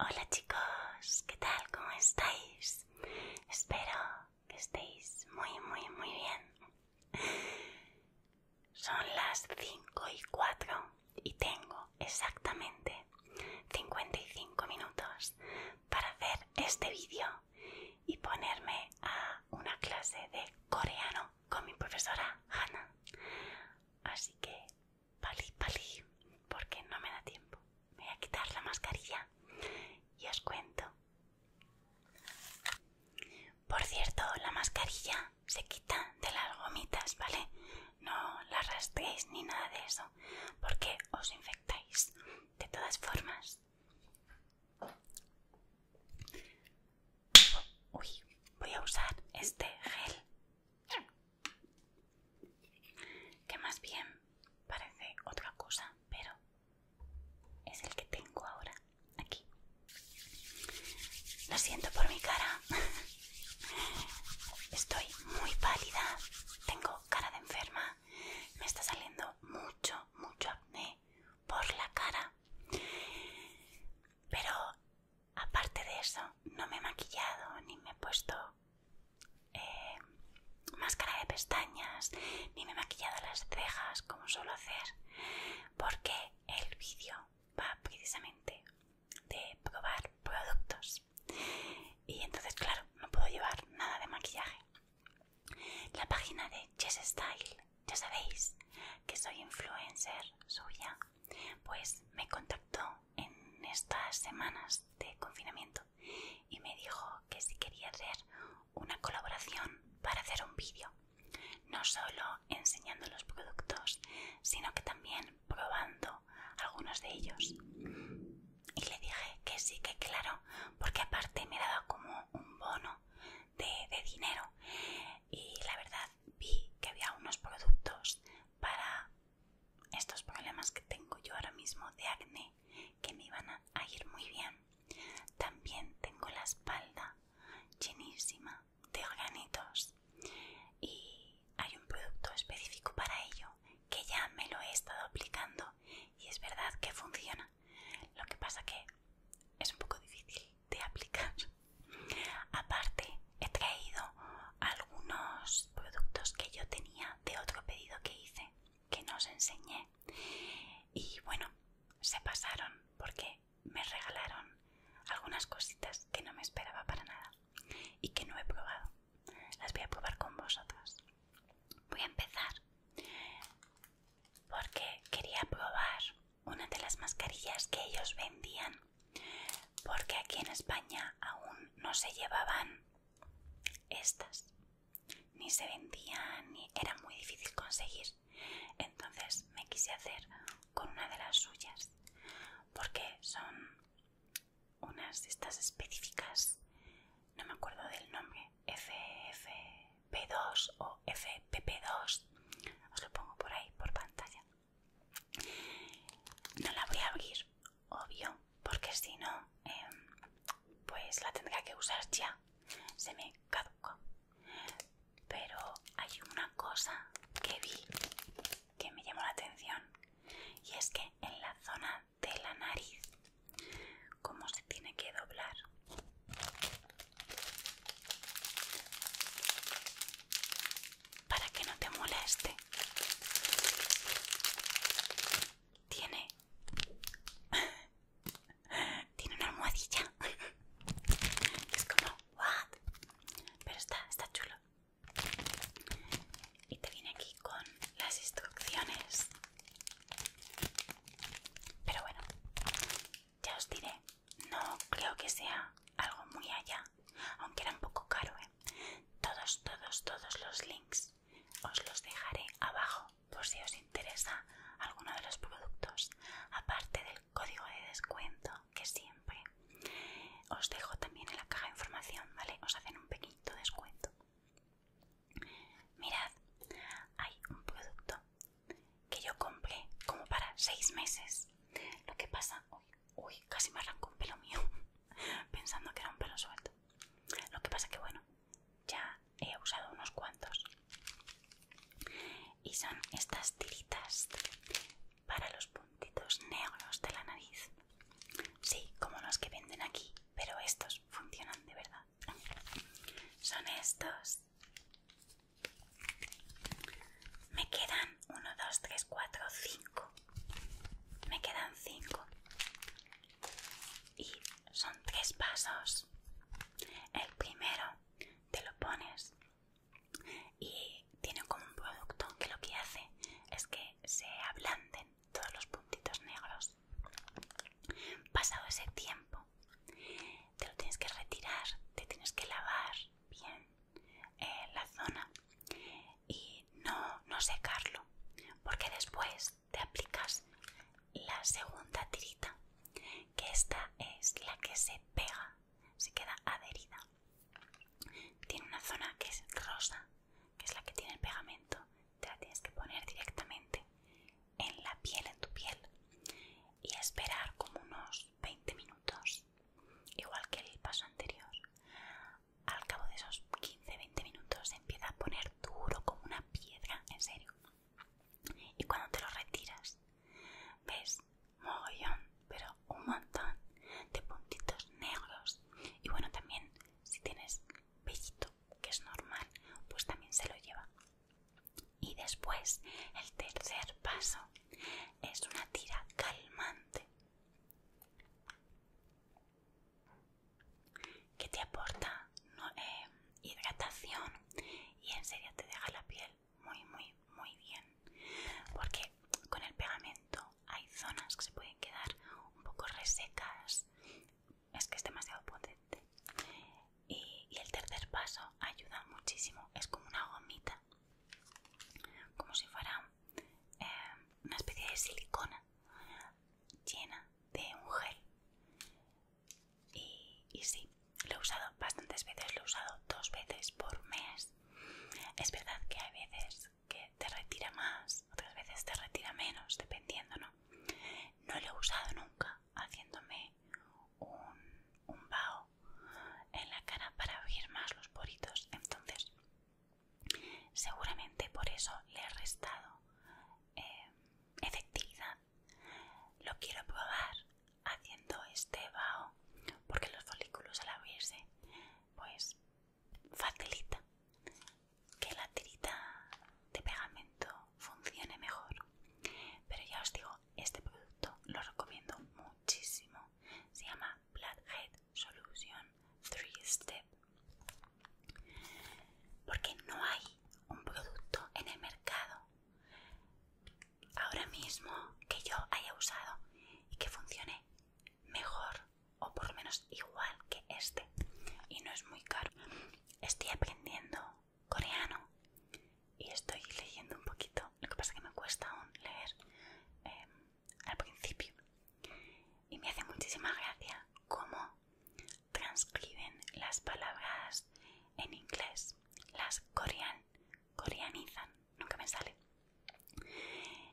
Hola chicos, ¿qué tal? ¿Cómo estáis? Espero que estéis muy, muy, muy bien. Son las 5 y 4 y tengo exactamente 55 minutos para hacer este vídeo y ponerme a una clase de coreano con mi profesora Hannah. Así que Pali, pali, porque no me da tiempo. Me voy a quitar la mascarilla y os cuento. Por cierto, la mascarilla se quita de las gomitas, ¿vale? No la arrastréis ni nada de eso, porque os infectáis de todas formas. Uy, voy a usar este gel que más bien parece otra cosa, pero es el que tengo ahora aquí. Lo siento por mi cara. Estoy muy pálida. Tengo cara de enferma. Me está saliendo mucho, mucho acné por la cara. Pero Aparte de eso, no me he maquillado ni me he puesto eh, máscara de pestañas, ni me he maquillado las cejas como suelo hacer, porque el vídeo va precisamente de probar productos. Y entonces, claro, no puedo llevar nada de maquillaje. La página de Chess Style, ya sabéis que soy influencer suya, pues me contactó en estas semanas de confinamiento y me dijo que si quería hacer una colaboración para hacer un vídeo, no solo enseñando los productos, sino que también probando algunos de ellos. Y le dije que sí, que claro, porque aparte me daba como un bono de, de dinero. Y la verdad vi que había unos productos para estos problemas que tengo yo ahora mismo de acné que me iban a ir muy bien. También tengo la espalda llenísima de organitos y hay un producto específico para ello que ya me lo he estado aplicando y es verdad que funciona. Lo que pasa que es un poco difícil de aplicar. Aparte, he traído algunos productos que yo tenía de otro pedido que hice, que no os enseñé. Y bueno, se pasaron porque me regalaron algunas cositas que no me esperaba para nada y que no he probado. Las voy a probar con vosotros. Voy a empezar porque quería probar una de las mascarillas que ellos vendían porque aquí en España aún no se llevaban estas, ni se vendían, ni era muy difícil conseguir. Entonces me quise hacer con una de las suyas, porque son unas de estas específicas, no me acuerdo del nombre, FFP2 o FPP2, os lo pongo por ahí, por pantalla. No la voy a abrir, obvio, porque si no, em, pues la tendría que usar ya. Se me caduca Pero hay una cosa que vi que me llamó la atención y es que en la zona de la nariz, como se tiene que doblar, para que no te moleste. Tiene... Tiene una almohadilla. es como... ¿What? Pero está, está chulo. Y te viene aquí con las instrucciones. Pero bueno, ya os diré. No creo que sea algo muy allá. Aunque era un poco caro, ¿eh? Todos, todos, todos los links os los dejaré abajo por si os interesa alguno de los productos, aparte del código de descuento que siempre os dejo también en la caja de información, ¿vale? Os hacen un pequeño descuento. Mirad, hay un producto que yo compré como para seis meses. Lo que pasa, hoy. Uy, casi me arranco un pelo mío pensando que era un pelo suelto. Lo que pasa que bueno, ya he usado unos cuantos. Y son estas tiritas para los puntitos negros de la nariz. Sí, como los que venden aquí, pero estos funcionan de verdad. Son estos. Me quedan 1, 2, 3, 4, 5. Me quedan 5. Y son tres pasos. El primero te lo pones y tiene como un producto que lo que hace es que se ablanden todos los puntitos negros. Pasado ese tiempo, te lo tienes que retirar, te tienes que lavar bien eh, la zona y no, no secarlo porque después te aplicas la segunda tirita que esta es la que se pega se queda adherida tiene una zona que es rosa que es la que tiene el pegamento te la tienes que poner directamente en la piel en tu piel y esperar como unos 20 minutos igual que el paso anterior al cabo de esos 15-20 minutos empieza a poner duro como una piedra, en serio. Y cuando te lo retiras, ves mogollón, pero un montón de puntitos negros. Y bueno, también si tienes pellito, que es normal, pues también se lo lleva. Y después, el tercer paso es una tira calmante que te aporta eh, hidratación y en serio te deja la piel muy muy muy bien porque con el pegamento hay zonas que se pueden quedar un poco resecas es que es demasiado potente y, el tercer paso ayuda muchísimo es como una gomita como si fuera eh, una especie de silicona llena de un gel y, sí, lo he usado bastantes veces, lo he usado dos veces por mes. Es verdad que hay veces que te retira más, otras veces te retira menos, dependiendo, ¿no? No lo he usado nunca haciéndome un, un vaho en la cara para abrir más los poritos, entonces Seguramente por eso le he restado eh, efectividad. Lo quiero probar haciendo este vaho porque los folículos al abrirse pues facilita que la tirita de pegamento funcione mejor. Pero ya os digo, este producto lo recomiendo muchísimo. Se llama Blackhead Solución 3-Step. Porque no hay un producto en el mercado ahora mismo que yo haya usado y que funcione mejor o por lo menos igual que este. Y no es muy caro. Estoy aprendiendo coreano y estoy leyendo un poquito. Lo que pasa es que me cuesta aún leer em, al principio y me hace muchísima gracia cómo transcriben las palabras en inglés, las corean, coreanizan, nunca me sale.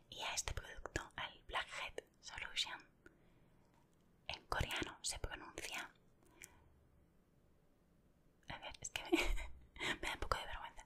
Y a este producto, al Blackhead Solution, en coreano se pronuncia. A ver, es que me, da un poco de vergüenza.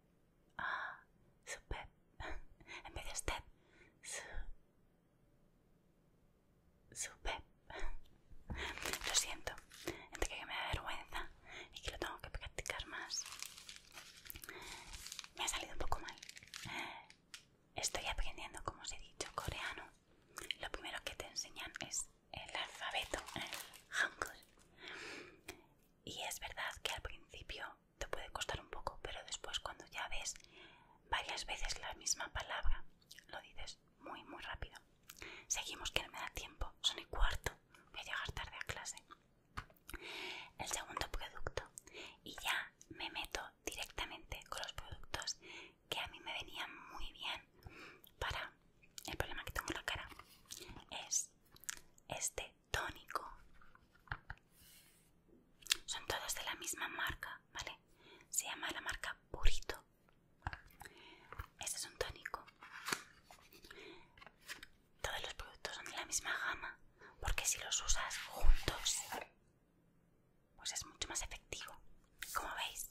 Ah, supe. En vez de usted. Su... Supe. Lo siento. Entre que me da vergüenza y que lo tengo que practicar más. Me ha salido un poco mal. Estoy aprendiendo, como os he dicho, coreano. Lo primero que te enseñan es el alfabeto, el hangul. Y es verdad que al principio te puede costar un poco, pero después cuando ya ves varias veces la misma palabra, lo dices muy, muy rápido. Seguimos que no me da tiempo, son el cuarto, voy a llegar tarde a clase. El segundo producto, y ya me meto directamente con los productos que a mí me venían muy bien para el problema que tengo en la cara, es este tónico. Son todos de la misma marca, ¿vale? Se llama la marca Purito. ese es un tónico. Todos los productos son de la misma gama, porque si los usas juntos, pues es mucho más efectivo. Como veis,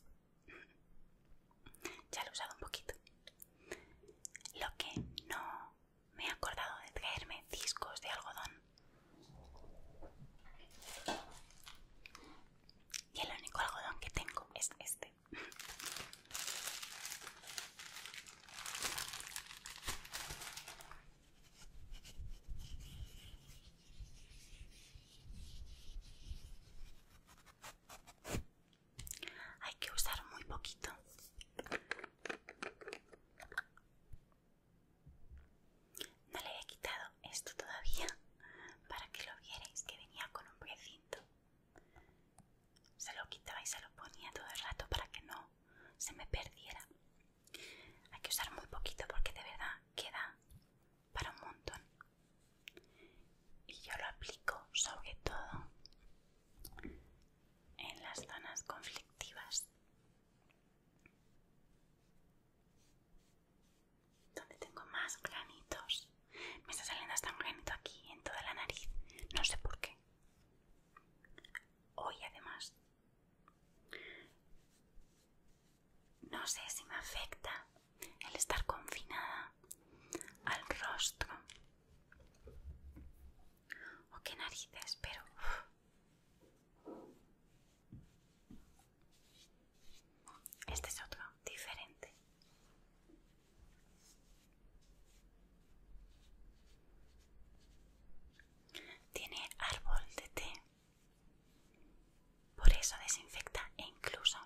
ya lo he usado un poquito. Lo que no me he acordado de traerme discos de algodón. Y el único algodón que tengo es este. Hay que usar muy poquito no le he quitado esto todavía para que lo vierais que venía con un precinto. Se lo quitaba y se lo ponía todo el rato para que no se me perdiera. Hay que usar muy poquito porque de verdad queda para un montón. Y yo lo aplico sobre todo en las zonas conflictivas donde tengo más granitos me está saliendo hasta un granito aquí en toda la nariz no sé por qué hoy además no sé si me afecta el estar confinada al rostro o qué narices, pero... Este es otro, diferente. Tiene árbol de té. Por eso desinfecta e incluso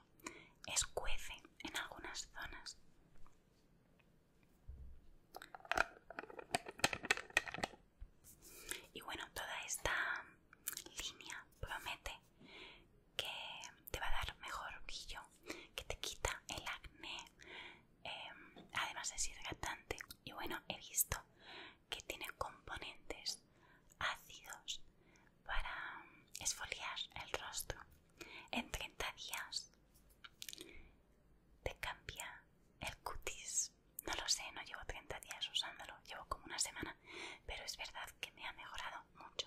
escuece en algunas zonas. Y bueno, toda esta línea promete que te va a dar mejor brillo, que te quita el acné, em, además es hidratante. Y bueno, he visto que tiene componentes ácidos para esfoliar el rostro en 30 días te cambia el cutis. No lo sé, no llevo 30 días usándolo, llevo como una semana, pero es verdad que me ha mejorado mucho.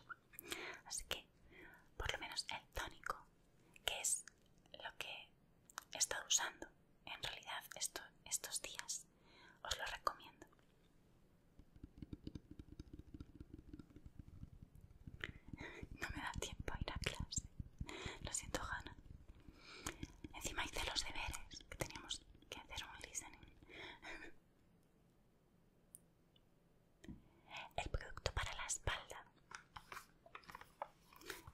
Así que, por lo menos el tónico, que es lo que he estado usando en realidad estos días, os lo recomiendo. No me da tiempo a ir a clase. Lo siento, Hanna. Encima hice los deberes, que teníamos que hacer un listening. El producto para la espalda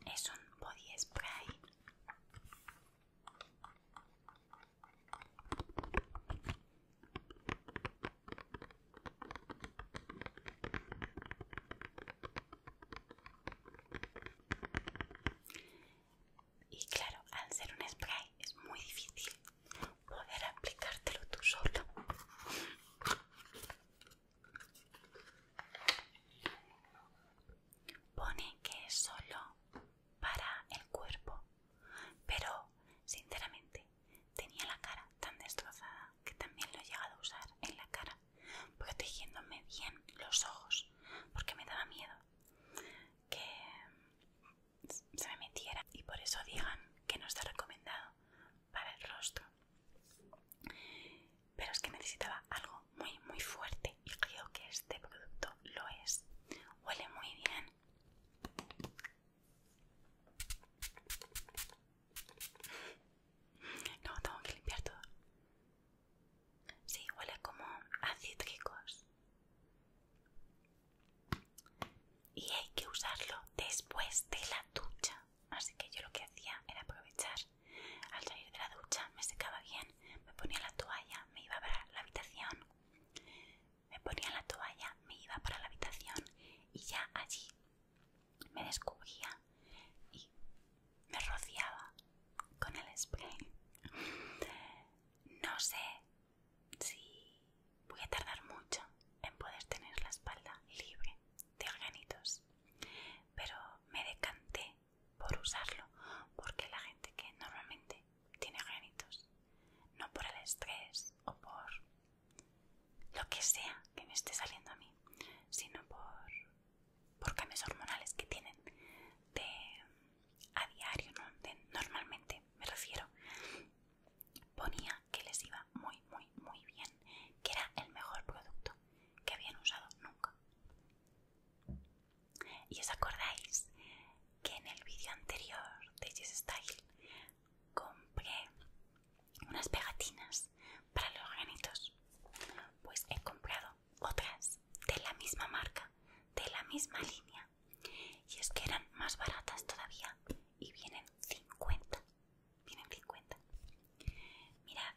es un body spray. Y claro, al ser un spray es muy difícil poder aplicártelo tú solo. Pone que es solo para el cuerpo, pero sinceramente tenía la cara tan destrozada que también lo he llegado a usar en la cara protegiéndome bien los ojos, porque me daba miedo que se me metiera y por eso digan que no está recomendado para el rostro. Pero es que necesitaba algo muy muy fuerte y creo que este producto lo es. Huele muy bien. No, tengo que limpiar todo. Sí, huele como a Y hay que usarlo después de la ducha. Así que yo lo que hacía era aprovechar. Al salir de la ducha me secaba bien, me ponía la toalla, me iba para la habitación. Me ponía la toalla, me iba para la habitación y ya allí me descubría y me rociaba con el spray. No sé si voy a tardar mucho en poder tener la espalda libre de granitos pero me decanté por usarlo porque la gente que normalmente tiene granitos, no por el estrés o por lo que sea que me esté saliendo a mí, sino por por cambios hormonales que tienen de, a diario, normalmente me refiero, ponía que les iba muy, muy, muy bien, que era el mejor producto que habían usado nunca. Y os acordáis que en el vídeo anterior de Jess Style compré unas pegatinas para los granitos. Pues he comprado otras de la misma marca, de la misma línea. Y es que eran más baratas todavía y vienen 50. Vienen 50. Mirad,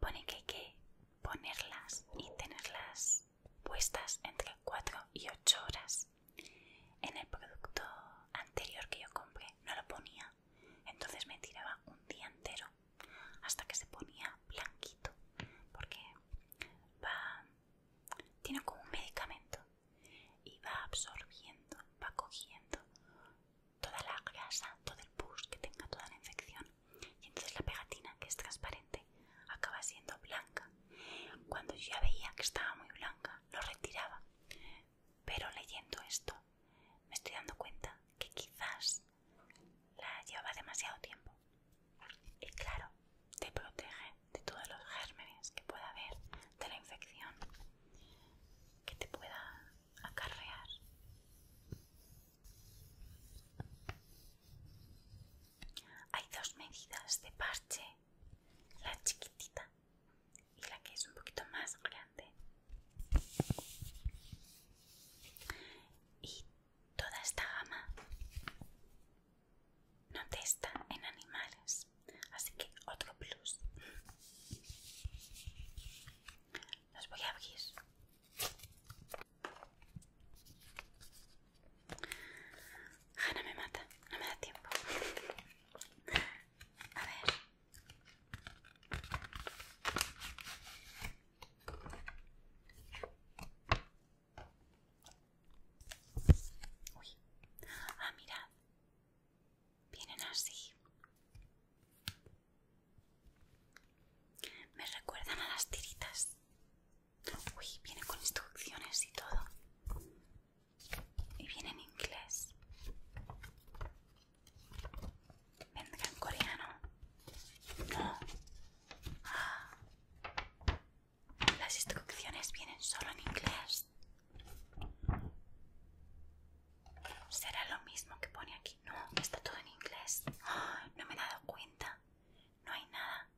pone que hay que ponerlas y tenerlas puestas entre 4 y 8 horas. En el producto anterior que yo compré no lo ponía entonces me tiraba un día entero hasta que se ponía blanquito, porque va, tiene como un medicamento y va absorbiendo, va cogiendo toda la grasa, todo el pus que tenga toda la infección y entonces la pegatina que es transparente acaba siendo blanca. Cuando yo ya veía que estaba muy blanca, lo retiraba. Pero leyendo esto, me estoy dando cuenta que quizás la lleva demasiado tiempo. Y claro, te protege de todos los gérmenes que pueda haber, de la infección que te pueda acarrear. Hay dos medidas de parche, la chiquitita y la que es un poquito más grande y toda esta gama no testa en animales así que otro plus los voy a abrir Jana ah, me mata, no me da tiempo. A ver. Uy. Ah, mirad. Vienen así. Me recuerdan a las tiritas. Uy, viene con instrucciones y todo. Y vienen en inglés. Venga, en coreano. No. Las instrucciones vienen solo en inglés. Será lo mismo que pone aquí. No, está todo en inglés. no me he dado cuenta. No hay nada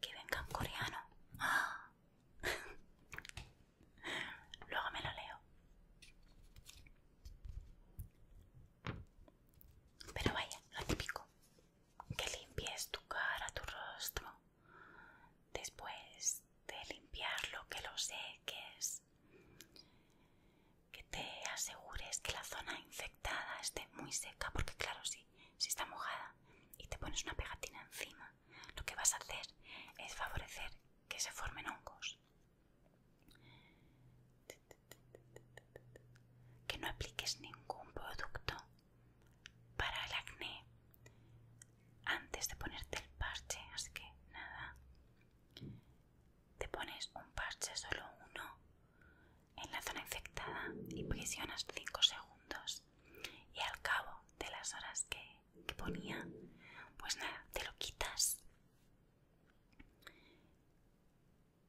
que venga en coreano. Luego me lo leo. Pero vaya, lo típico, que limpies tu cara, tu rostro, después de limpiarlo, que lo seques, que te asegures que la zona infectada esté muy seca, porque claro, sí, si está mojada y te pones una pegatina encima, lo que vas a hacer es favorecer que se formen hongos. Que no apliques ningún producto para el acné antes de ponerte el parche, así que nada. Te pones un parche, solo uno, en la zona infectada y presionas 5 segundos. Y al cabo de las horas que, que ponía, pues nada, te lo quitas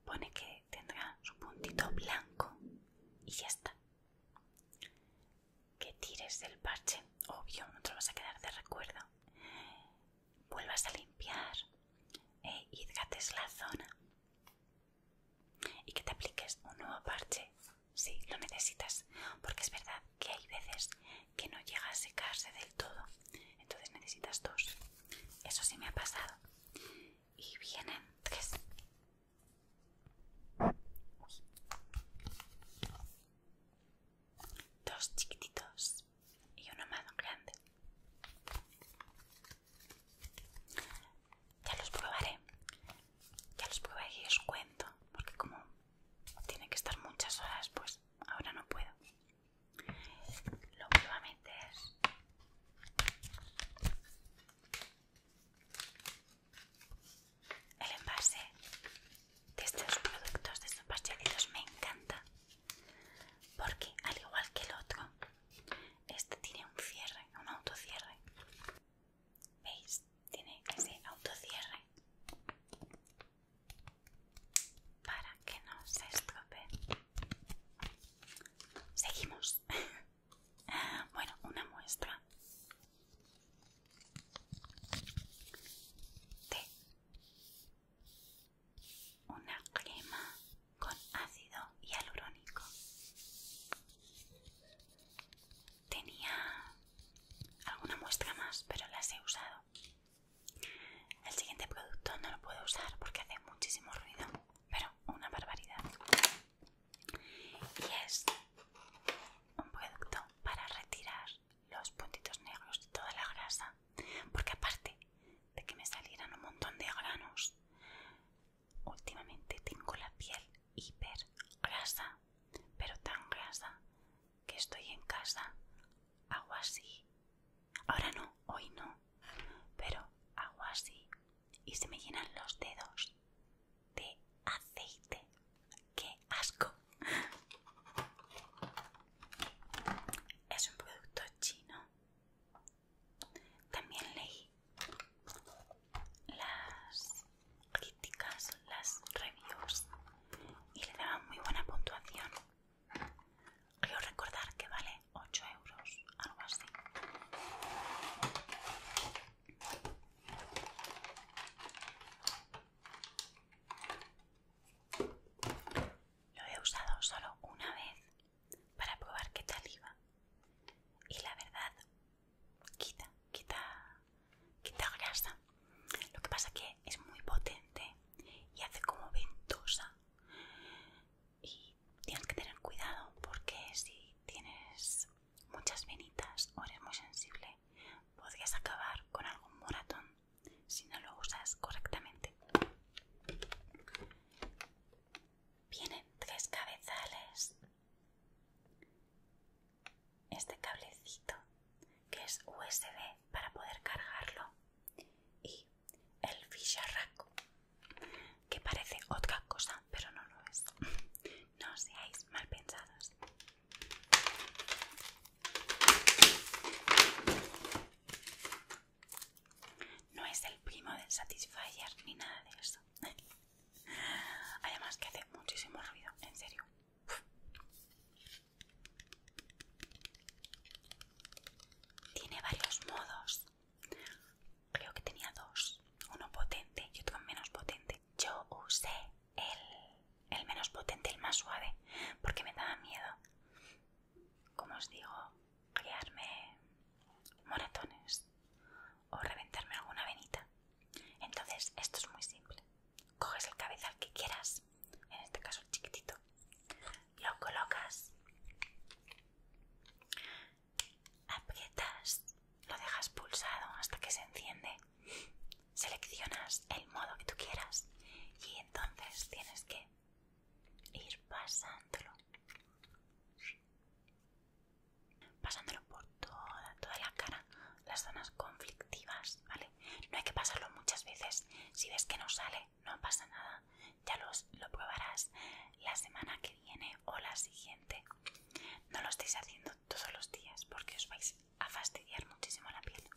Pone que tendrá su puntito blanco y ya está. Que tires del parche, obvio, no te vas a quedar de recuerdo. Vuelvas a limpiar e eh, hidrates la zona. Y que te apliques un nuevo parche si lo necesitas. Porque es verdad que hay veces que no llega a secarse del todo entonces necesitas dos eso sí me ha pasado y vienen tres dos chiquititos y uno más grande ya los probaré ya los probaré y os cuento porque como tiene que estar muchas horas pues ahora no puedo lo que es a meter el envase de estos productos, de estos pastelitos, me encanta porque, al igual que el otro, este tiene un cierre, un autocierre. ¿Veis? Tiene ese autocierre para que no se estrope, Seguimos. bueno, una muestra de una crema con ácido hialurónico. Tenía alguna muestra más, pero las he usado el siguiente producto no lo puedo usar porque hace muchísimo ruido, pero una barbaridad. Y es un producto para retirar los puntitos negros de toda la grasa, porque aparte de que me salieran un montón de granos, últimamente tengo la piel hiper grasa, pero tan grasa que estoy en casa, hago así Ahora no, hoy no. Pero hago así y se me llenan los dedos de aceite. ¡Qué asco! Es un producto chino. También leí las críticas, las reviews y le daban muy buena puntuación Quiero recordar que vale 8 euros, algo así. Lo he usado solo una vez para probar qué tal iba. Y la verdad, quita, quita, quita grasa. Lo que pasa que es muy potente y hace como ventosa y tienes que tener cuidado porque si tienes muchas venitas o eres muy sensible podrías acabar con algún moratón si no lo usas correctamente vienen tres cabezales este cablecito que es USB para poder cargarlo y el ficharraco, que parece otra cosa, pero no lo es. No seáis mal pensados. No es el primo del Satisfyer ni nada de eso. Además que hace muchísimo ruido, en serio. Tiene varios modos. Creo que tenía dos. Uno potente y otro menos potente. Yo usé el, menos potente, el más suave, porque me daba miedo. Como os digo, crearme moratones o reventarme alguna venita. Entonces, esto es muy simple. Coges el cabezal que quieras en este caso chiquitito, lo colocas, aprietas, lo dejas pulsado hasta que se enciende, seleccionas el modo que tú quieras y entonces tienes que ir pasándolo pasándolo por toda, toda la cara, las zonas conflictivas, ¿vale? No hay que pasarlo muchas veces. Si ves que no sale, no pasa nada, ya los, lo probarás la semana que viene o la siguiente. No lo estéis haciendo todos los días porque os vais a fastidiar muchísimo la piel,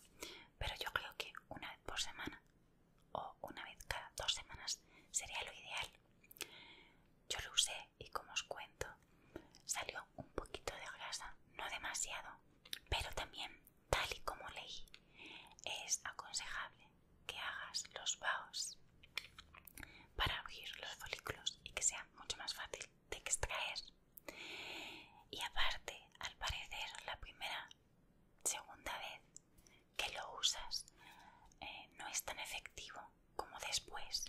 pero yo creo que una vez por semana o una vez cada dos semanas sería lo ideal. Yo lo usé y como os cuento, salió un poquito de grasa, no demasiado, pero también tal y como leí, es aconsejable que hagas los baos para abrir los folículos y que sea mucho más fácil de extraer. Y aparte, al parecer, la primera, segunda vez que lo usas eh, no es tan efectivo como después.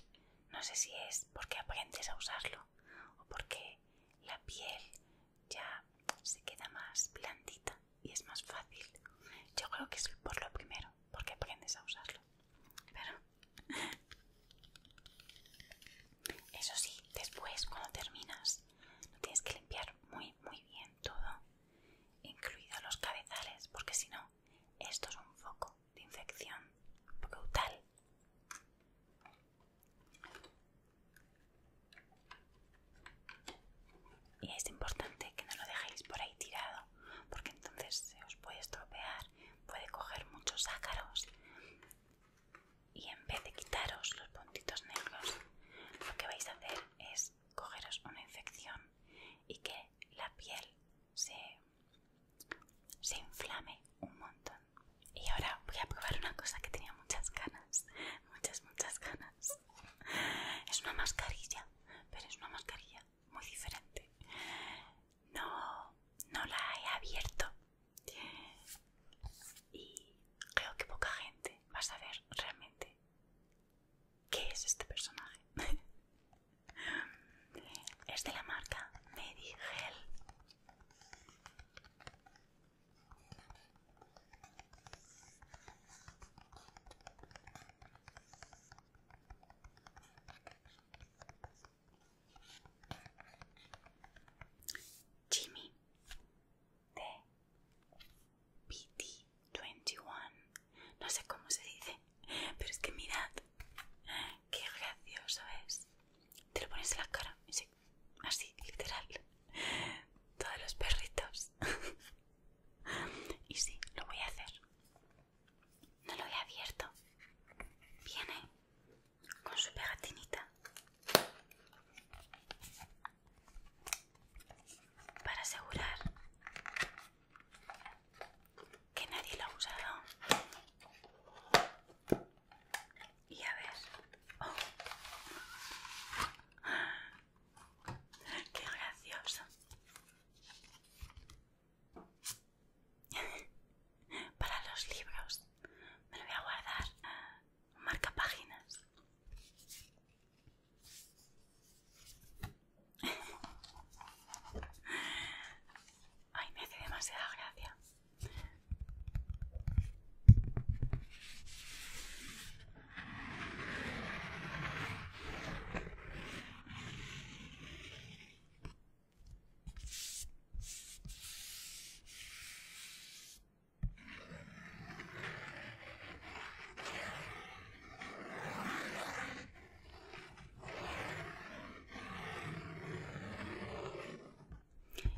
No sé si es porque aprendes a usarlo o porque la piel ya se queda más blandita y es más fácil. Yo creo que es por lo primero, porque aprendes a usarlo. Pero eso sí, después cuando terminas, lo tienes que limpiar muy, muy bien todo, incluidos los cabezales, porque si no, esto es un foco de infección brutal. Y es importante que no lo dejéis por ahí tirado, porque entonces se os puede estropear, puede coger muchos ácaros. Y en vez de quitaros los puntitos negros, lo que vais a hacer es cogeros una infección y que la piel se, se inflame un montón. Y ahora voy a probar una cosa que tenía muchas ganas, muchas, muchas ganas. Es una mascarilla, pero es una mascarilla muy diferente. No, no la he abierto. Y creo que poca gente va a saber realmente qué es este personaje. es de la marca Medigel. Jimmy de PT21 no sé cómo se dice pero es que mirad qué gracioso es te lo pones en la cara así literal Todos los perritos. y sí, lo voy a hacer. No lo he abierto. Viene con su pegatinita para asegurar que nadie lo ha usado. Y a ver. Oh. Qué gracioso. Para los libros. Me lo voy a guardar. Marca páginas. Ay, me hace demasiada gracia.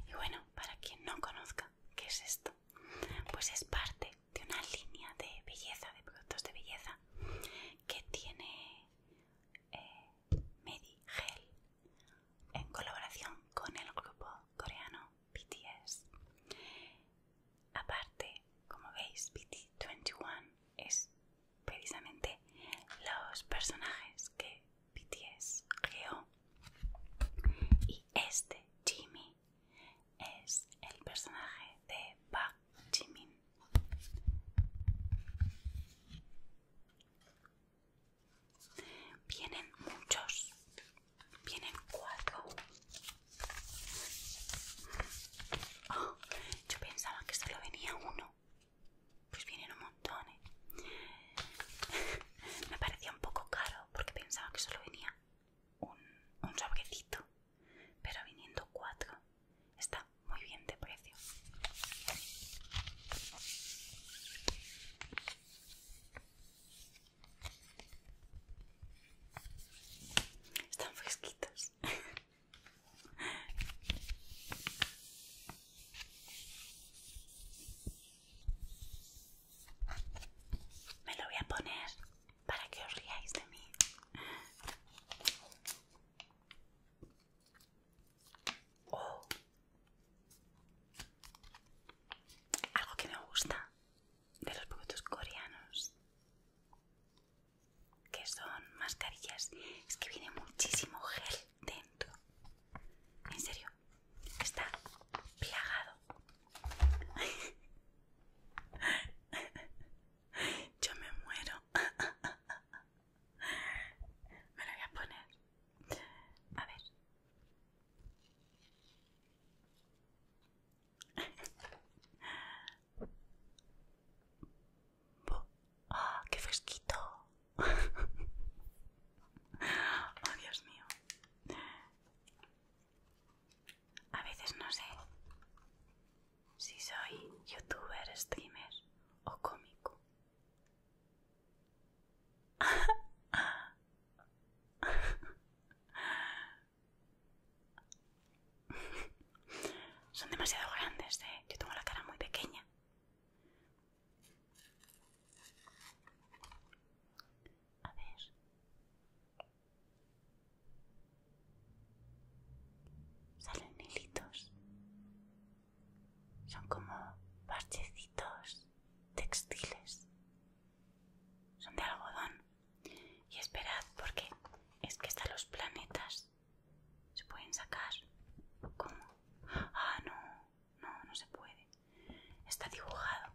Y bueno, para quien no conozca qué es esto, pues es parte de una línea de belleza, de productos de belleza, que tiene eh, Gel en colaboración con el grupo coreano BTS. Aparte, como veis, BT21 es precisamente los personajes que BTS creó y este Jimmy es el personaje de Park Jimin. Vienen muchos, vienen cuatro. Oh, yo pensaba que solo venía uno. Pues vienen un montón. ¿eh? Me parecía un poco caro porque pensaba que solo venía un, un sobrecito, pero viniendo cuatro está muy bien de precio. Están fresquitos. Me lo voy a poner para que os riáis de mí. Oh. Algo que me gusta de los productos coreanos, que son mascarillas, es que viene muchísimo gel dentro. En serio, está plagado. Yo me muero. Me lo voy a poner. A ver. ¡Ah, qué fresquito! Oh, Dios mío. A veces no sé si soy youtuber, streamer o cómico. Son demasiado grandes, ¿eh? Yo tengo la cara muy pequeña. A ver. Salen hilitos. Son como parchecitos textiles. Son de algodón. Y esperad porque es que están los planetas se pueden sacar. ¿Cómo? Ah, no, no, no se puede. Está dibujado.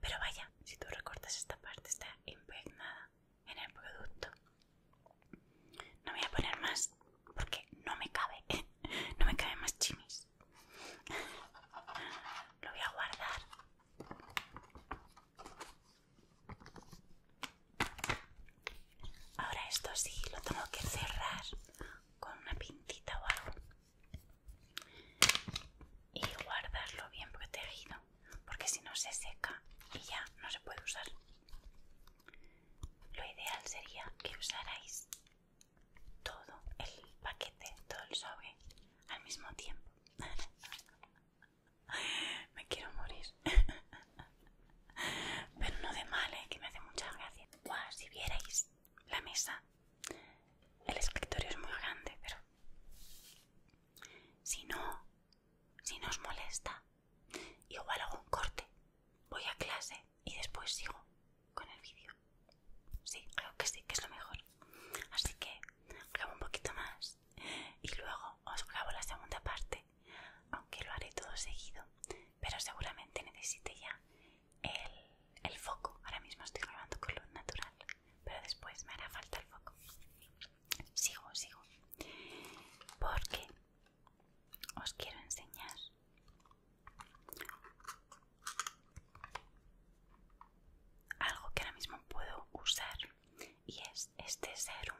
Pero vaya, si tú recortas esta parte está impregnada en el producto. No voy a poner más porque no me cabe, no me cabe más chimis. Lo voy a guardar. Ahora esto sí lo tengo que cerrar con una pintita o algo y guardarlo bien protegido porque si no se seca y ya no se puede usar. Lo ideal sería que usarais todo el paquete, todo el sobre al mismo tiempo. me quiero morir. Pero no de mal, ¿eh? que me hace mucha gracia. si vierais la mesa, el escritorio es muy grande, pero si no, si nos molesta, igual hago un corte, voy a clase y después sigo con el vídeo. Sí, creo que sí, que es lo mejor. Así que grabo un poquito más y luego os grabo la segunda parte, aunque lo haré todo seguido, pero seguramente necesite ya el, el foco. Ahora mismo estoy grabando con luz natural pero después me hará falta el foco. Sigo, sigo. Porque os quiero enseñar algo que ahora mismo puedo usar y es este serum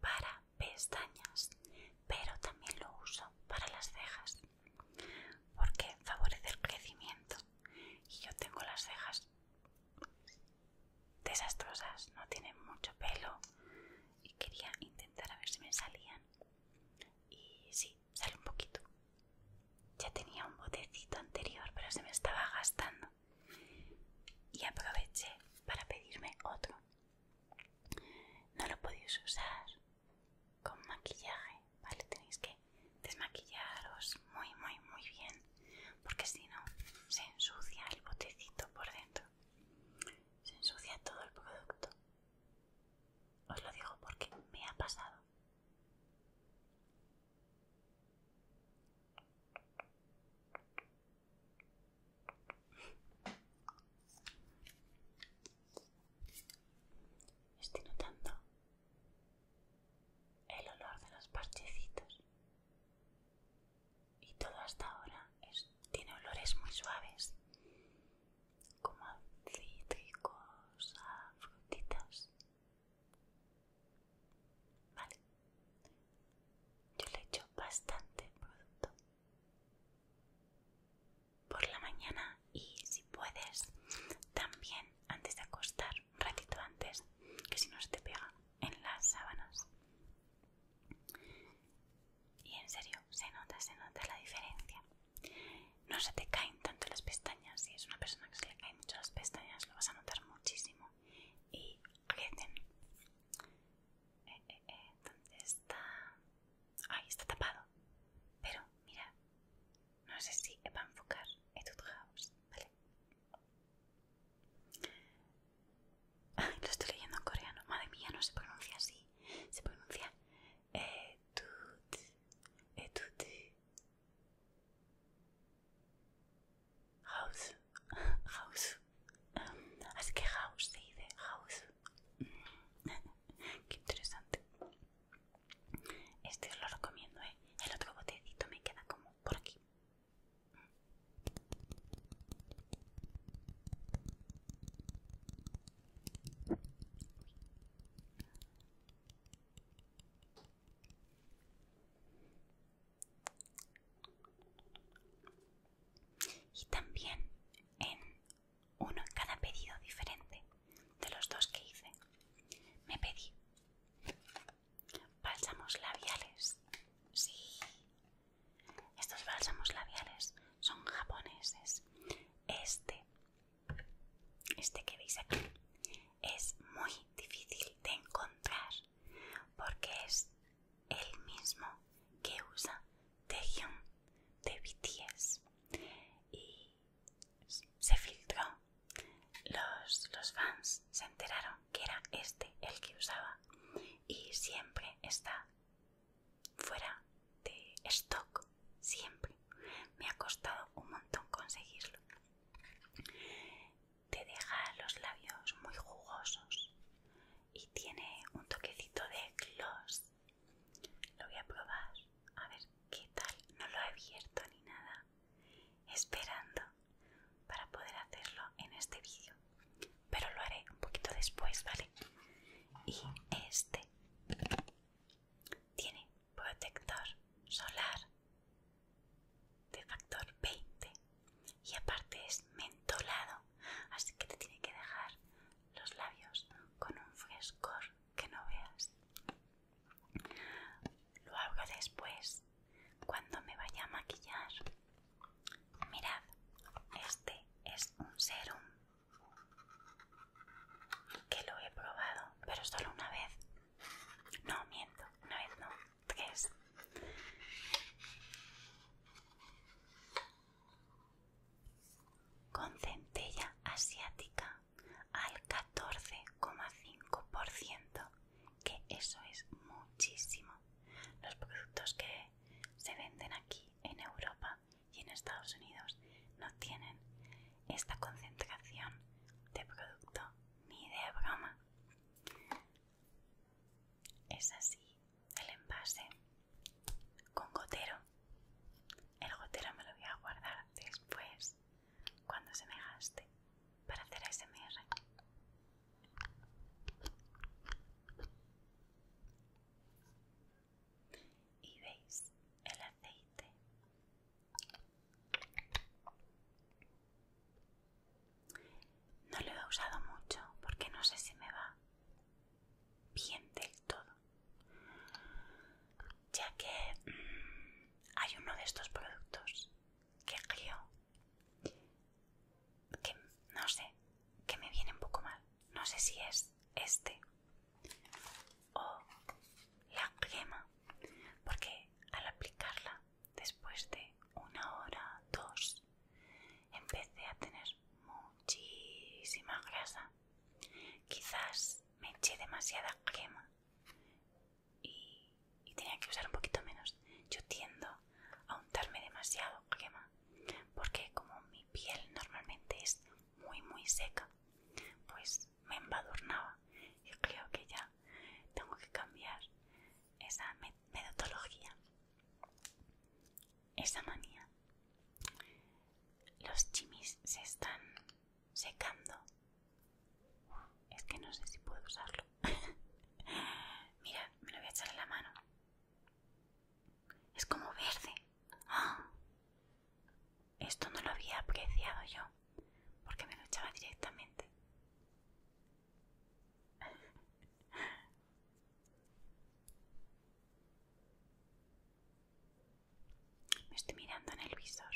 para pestañas, pero también lo uso para las cejas porque favorece el crecimiento y yo tengo las cejas desastrosas, no tienen mucho pelo y quería intentar a ver si me salían. Y sí, sale un poquito. Ya tenía un botecito anterior, pero se me estaba gastando. Y aproveché para pedirme otro. No lo podéis usar con maquillaje, ¿vale? Tenéis que desmaquillaros muy, muy, muy bien, porque si no, se ensucia el botecito por dentro. Se ensucia todo el producto. Os lo digo porque me ha pasado. Estoy notando el olor de los parchecitos. Y todo hasta ahora tiene olores muy suaves, como a cítricos, a frutitas. Vale, yo le echo bastante producto por la mañana y si puedes también antes de acostar, un ratito antes, que si no se te pega en las sábanas. Y en serio, se nota, se nota la diferencia. No se te caen tanto las pestañas. Si es una persona que se le caen mucho las pestañas, lo vas a notar muchísimo. Y crecen. Eh, eh, eh, está? Ahí está tapado. Pero, mira, no sé si va a enfocar Etude House, ¿vale? lo estoy leyendo en coreano. Madre mía, no se pronuncia así. Se pronuncia etut, eh, eh, Así que house se dice house. Qué interesante. Este os lo recomiendo, ¿eh? El otro botecito me queda como por aquí. Y también en uno en cada pedido diferente de los dos que hice, me pedí Bálsamos labiales. Sí. Estos bálsamos labiales son japoneses. Este, este que veis aquí, es muy difícil de encontrar porque es el mismo que usa Taehyung de BTS y se filtró los, fans se enteraron que era este el que usaba y siempre está fuera de stock, siempre. Me ha costado un montón conseguirlo. Te deja los labios muy jugosos y tiene un toquecito de gloss. Lo voy a probar a ver qué tal. No lo he abierto ni nada esperando para poder hacerlo en este vídeo pero lo haré un poquito después vale y este tiene protector solar de factor 20 y aparte es mentolado así que te tiene que dejar los labios con un frescor que no veas lo hago después cuando me vaya a maquillar. Mirad, este es un serum que lo he probado, pero solo una vez. No, miento, una vez no, tres. Con centella asiática al 14,5% que eso es muchísimo. Los productos que se venden aquí en Europa y en Estados Unidos no tienen esta concentración de producto ni de broma. Es así el envase con gotero. El gotero me lo voy a guardar después cuando se me gaste para hacer ASMR. Y veis el aceite. No lo he usado mucho porque no sé si me va bien del todo. Ya que mm, hay uno de estos productos que río que no sé, que me viene un poco mal. No sé si es este o la crema, porque al aplicarla después de una hora, dos, empecé a tener muchísima grasa. Quizás me eché demasiada crema y, tenía que usar un poquito menos. Yo tiendo a untarme demasiado crema porque como mi piel normalmente es muy muy seca, pues me embadurnaba Yo creo que ya tengo que cambiar esa metodología, esa manía. Los chimis se están secando es que no sé si puedo usarlo. Mira, me lo voy a echar en la mano. Es como verde. ¡Ah! Esto no lo había apreciado yo, porque me lo echaba directamente. Me estoy mirando en el visor.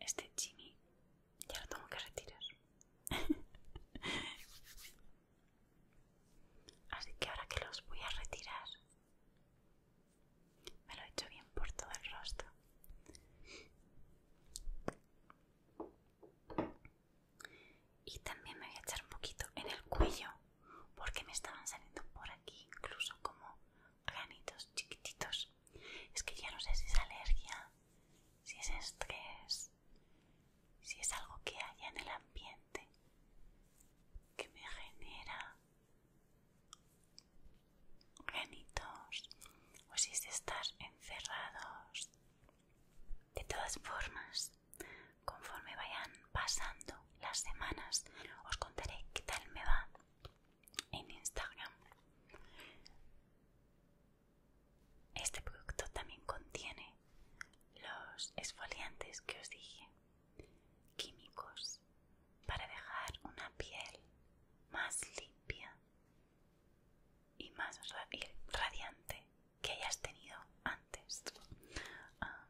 Este Jimmy ya lo tengo que retirar. Así que ahora que los voy a retirar, me lo he hecho bien por todo el rostro y también me voy a echar un poquito en el cuello porque me estaban saliendo por aquí incluso como granitos chiquititos es que ya no sé si es alergia si es estrés si es algo que haya en el ambiente que me genera granitos o si es de estar encerrados de todas formas, conforme vayan pasando las semanas, os contaré qué tal me va en Instagram. Este producto también contiene los esfoliantes que os dije, químicos para dejar una piel más limpia y más radiante que hayas tenido antes. Ah.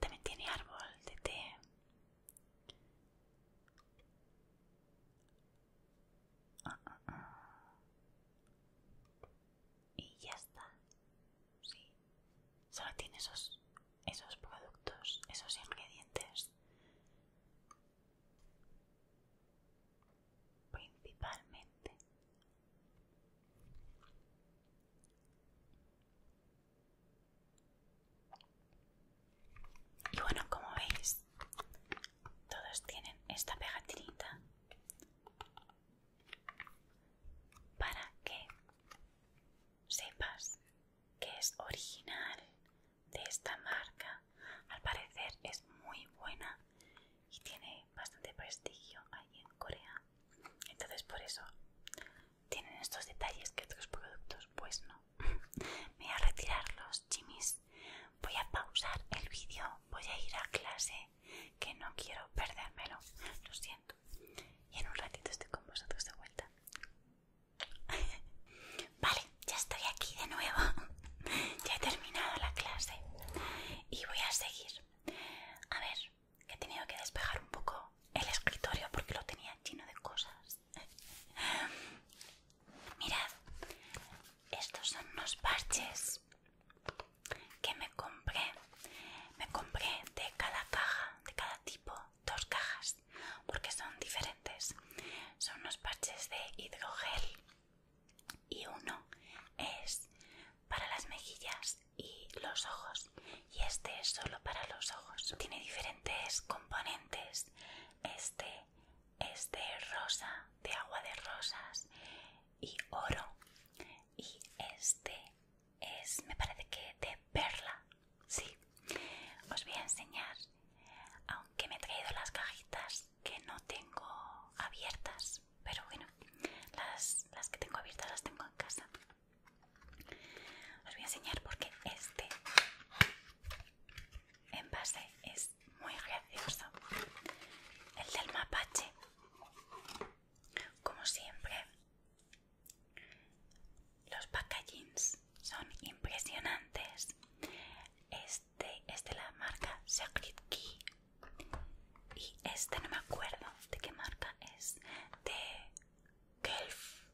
También tiene árbol de té. Ah, ah, y ya está. Sí. Solo tiene esos esos productos, esos ingredientes principalmente y bueno como veis todos tienen esta pegatinita para que sepas que es original de esta marca. Al parecer es muy buena y tiene bastante prestigio ahí en Corea. Entonces por eso tienen estos detalles que otros productos pues no. voy a retirar los chimis. Voy a pausar el vídeo. Voy a ir a clase que no quiero perdérmelo. Lo siento y en un ratito estoy con vosotros de vuelta. vale, ya estoy aquí de nuevo. ya he terminado la clase y voy a seguir. A ver, que he tenido que despejar un poco el escritorio porque lo tenía lleno de cosas. Mirad, estos son unos parches que me compré. Me compré de cada caja, de cada tipo, dos cajas porque son diferentes. Son unos parches de hidrogel y uno es para las mejillas y los ojos y este es solo para los ojos. Tiene diferentes componentes. Este es de rosa, de agua de rosas y oro y este es me parece que de perla sí os voy a enseñar aunque me he traído las cajitas que no tengo abiertas pero bueno las, las que tengo abiertas las tengo en casa os voy a enseñar porque este envase es muy gracioso el del mapache como siempre los packagings son impresionantes. Este es de la marca Sacred Key. Y este no me acuerdo de qué marca es. De Kelf.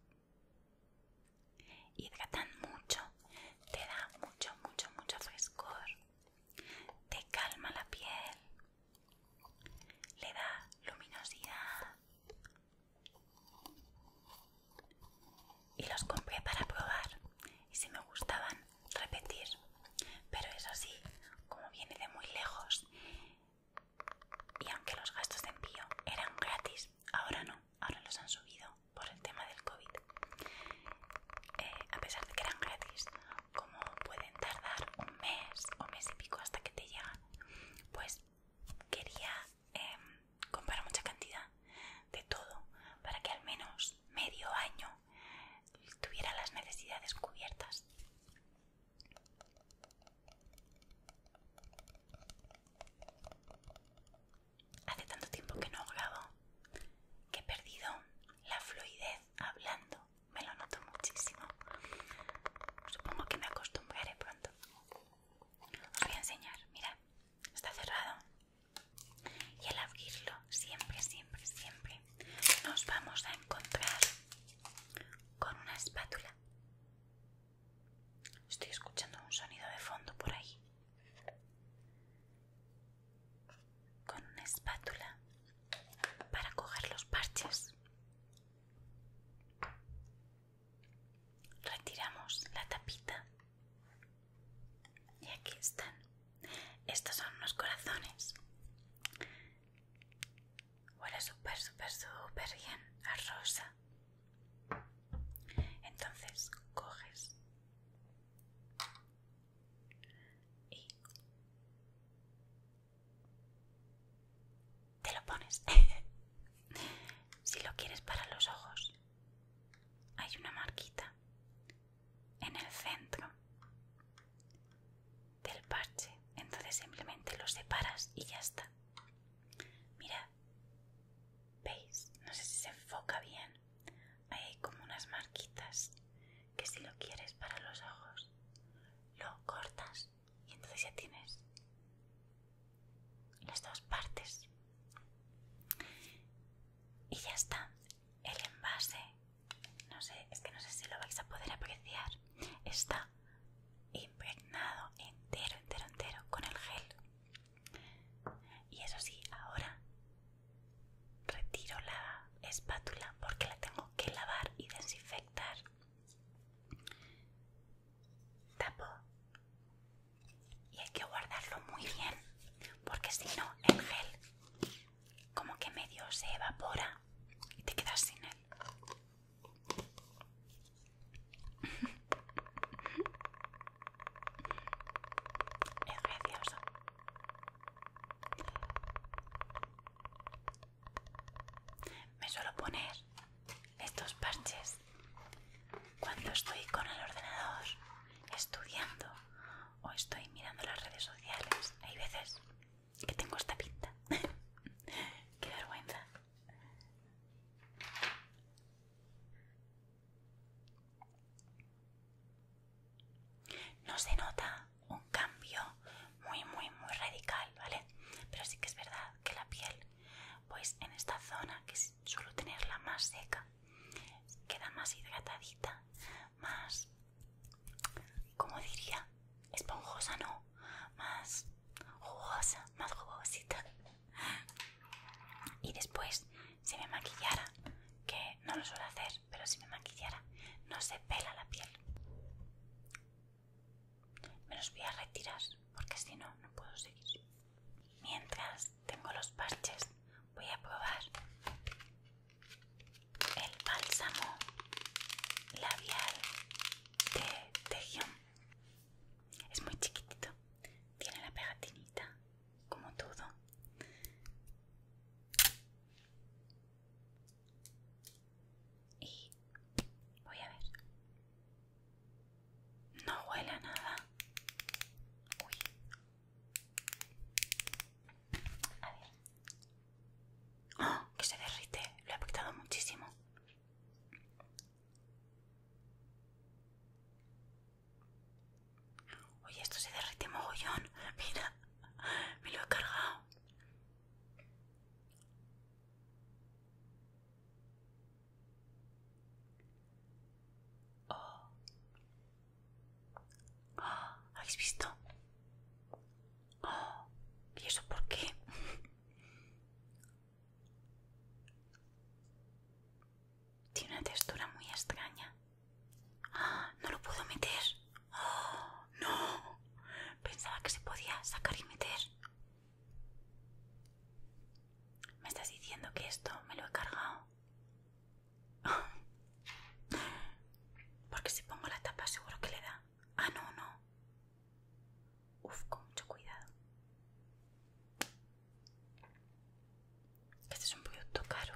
Hidratan mucho. Te da mucho, mucho, mucho frescor. Te calma la piel. Le da luminosidad y los compré para probar y si me gustaban repetir pero eso sí como viene de muy lejos y aunque los gastos de envío eran gratis ahora no ahora los han subido por el tema del covid eh, a pesar de que eran gratis como pueden tardar un mes o mes y pico hasta que te llegan pues quería Em, comprar mucha cantidad de todo para que al menos medio año tuviera las necesidades cubiertas. Hace tanto tiempo que no grabo que he perdido la fluidez hablando. Me lo noto muchísimo. Supongo que me acostumbraré pronto voy a enseñar, mira, está cerrado. Y al abrirlo, siempre, siempre, siempre, nos vamos a encontrar con una espátula. Estoy escuchando un sonido de fondo por ahí. Con una espátula para coger los parches. Retiramos la tapita y aquí están. Estos son unos corazones. Huele súper, súper, súper bien a rosa. Entonces coges te lo pones. si lo quieres para los ojos, hay una marquita en el centro del parche. Entonces simplemente lo separas y ya está. mira veis, no sé si se enfoca bien. hay como unas marquitas que si lo quieres para los ojos, lo cortas y entonces ya tienes las dos partes y ya está el envase no sé es que no sé si lo vais a poder apreciar está impregnado entero entero entero con el gel y eso sí ahora retiro la espátula porque la tengo que lavar y desinfectar tapo y hay que guardarlo muy bien porque si no el gel como que medio se evapora y te quedas sin él es precioso me suelo poner estos parches cuando estoy con el ordenador estudiando o estoy mirando las redes sociales. Hay veces que tengo esta pinta. Qué vergüenza. No se nota un cambio muy, muy, muy radical, ¿vale? Pero sí que es verdad que la piel pues en esta zona que suelo tenerla más seca queda más hidratadita más como diría esponjosa no más jugosa más jugosita y después si me maquillara que no lo suelo hacer pero si me maquillara no se pela la piel me los voy a retirar porque si no, no puedo seguir. Mientras tengo los parches, voy a probar el bálsamo labial de Tejión. Es muy chiquitito, tiene la pegatinita como todo. Y voy a ver. No huele a nada. Uy. A ver. Oh, que se derrite. Lo he afectado muchísimo. Oye, esto se derrite mogollón. Mira, me lo he cargado. Oh. ¿Habéis visto? Oh. ¿Y eso por qué? Tiene una textura muy extraña. Ah, no lo puedo meter. Oh, no. Pensaba que se podía sacar y meter. ¿Me estás diciendo que esto me lo he cargado? Porque si pongo la tapa seguro que le da. Ah, no, no. Uf, con mucho cuidado. Este es un producto caro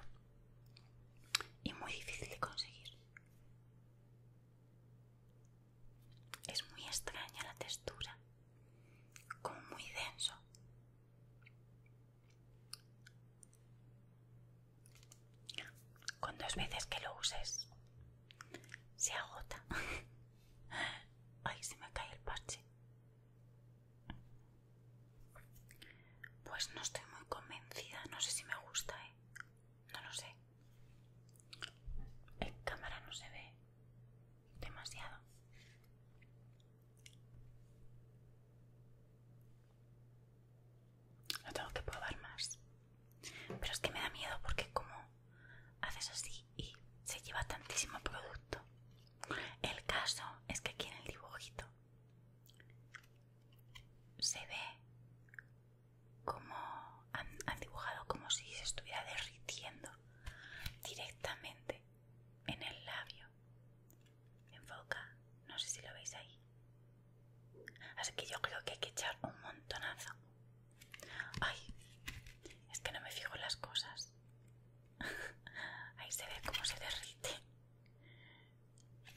y muy difícil de conseguir. Es muy extraña la textura como muy denso. Con dos veces que lo uses, se agota. Ay, se me cae el parche. Pues no estoy muy convencida, no sé si me gusta, ¿eh? No lo sé. En cámara no se ve demasiado. No tengo que probar más. Pero es que me da miedo porque como haces así y se lleva tantísimo producto. El caso es que aquí en el dibujito se ve como han dibujado como si se estuviera derritiendo directamente en el labio. Enfoca, no sé si lo veis ahí. Así que yo creo que hay que echar un montonazo. Ay, es que no me fijo las cosas. Ahí se ve cómo se derrite.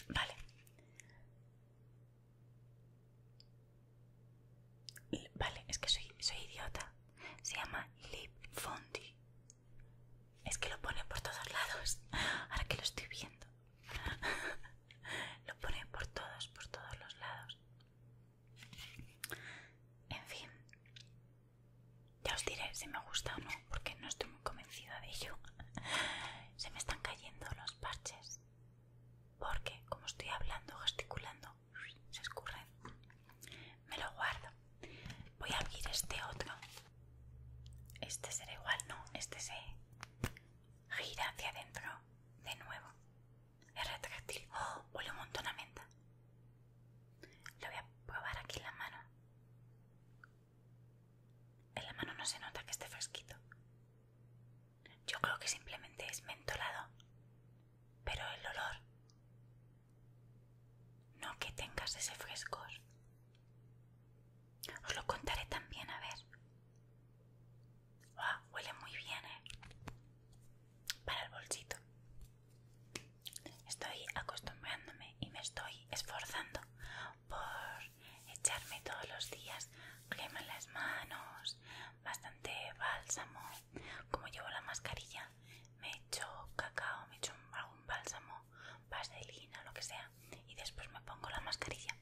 Vale. Vale, es que soy, soy idiota. Se llama Lip Fondi. Es que lo pone por todos lados. Ahora que lo estoy viendo. lo pone por todos, por todos los lados. En fin. Ya os diré si me gusta o no, porque no estoy muy convencida de ello. Se me están cayendo los parches. Porque, como estoy hablando, gesticulando, se escurre Me lo guardo. Voy a abrir este otro. Este será igual, no. Este se gira hacia adentro de nuevo. Es retráctil. ¡Oh! Huele un montón a menta. Lo voy a probar aquí en la mano. En la mano no se nota que esté fresquito. Yo creo que simplemente es mentolado. Pero el olor no que tengas ese frescor. Os lo contaré también, a ver. Ah, huele muy bien, ¿eh? Para el bolsito. Estoy acostumbrándome y me estoy esforzando por echarme todos los días crema en las manos, bastante bálsamo. Como llevo la mascarilla, me echo cacao, me echo algún bálsamo, vaselina, lo que sea, y después me pongo la mascarilla.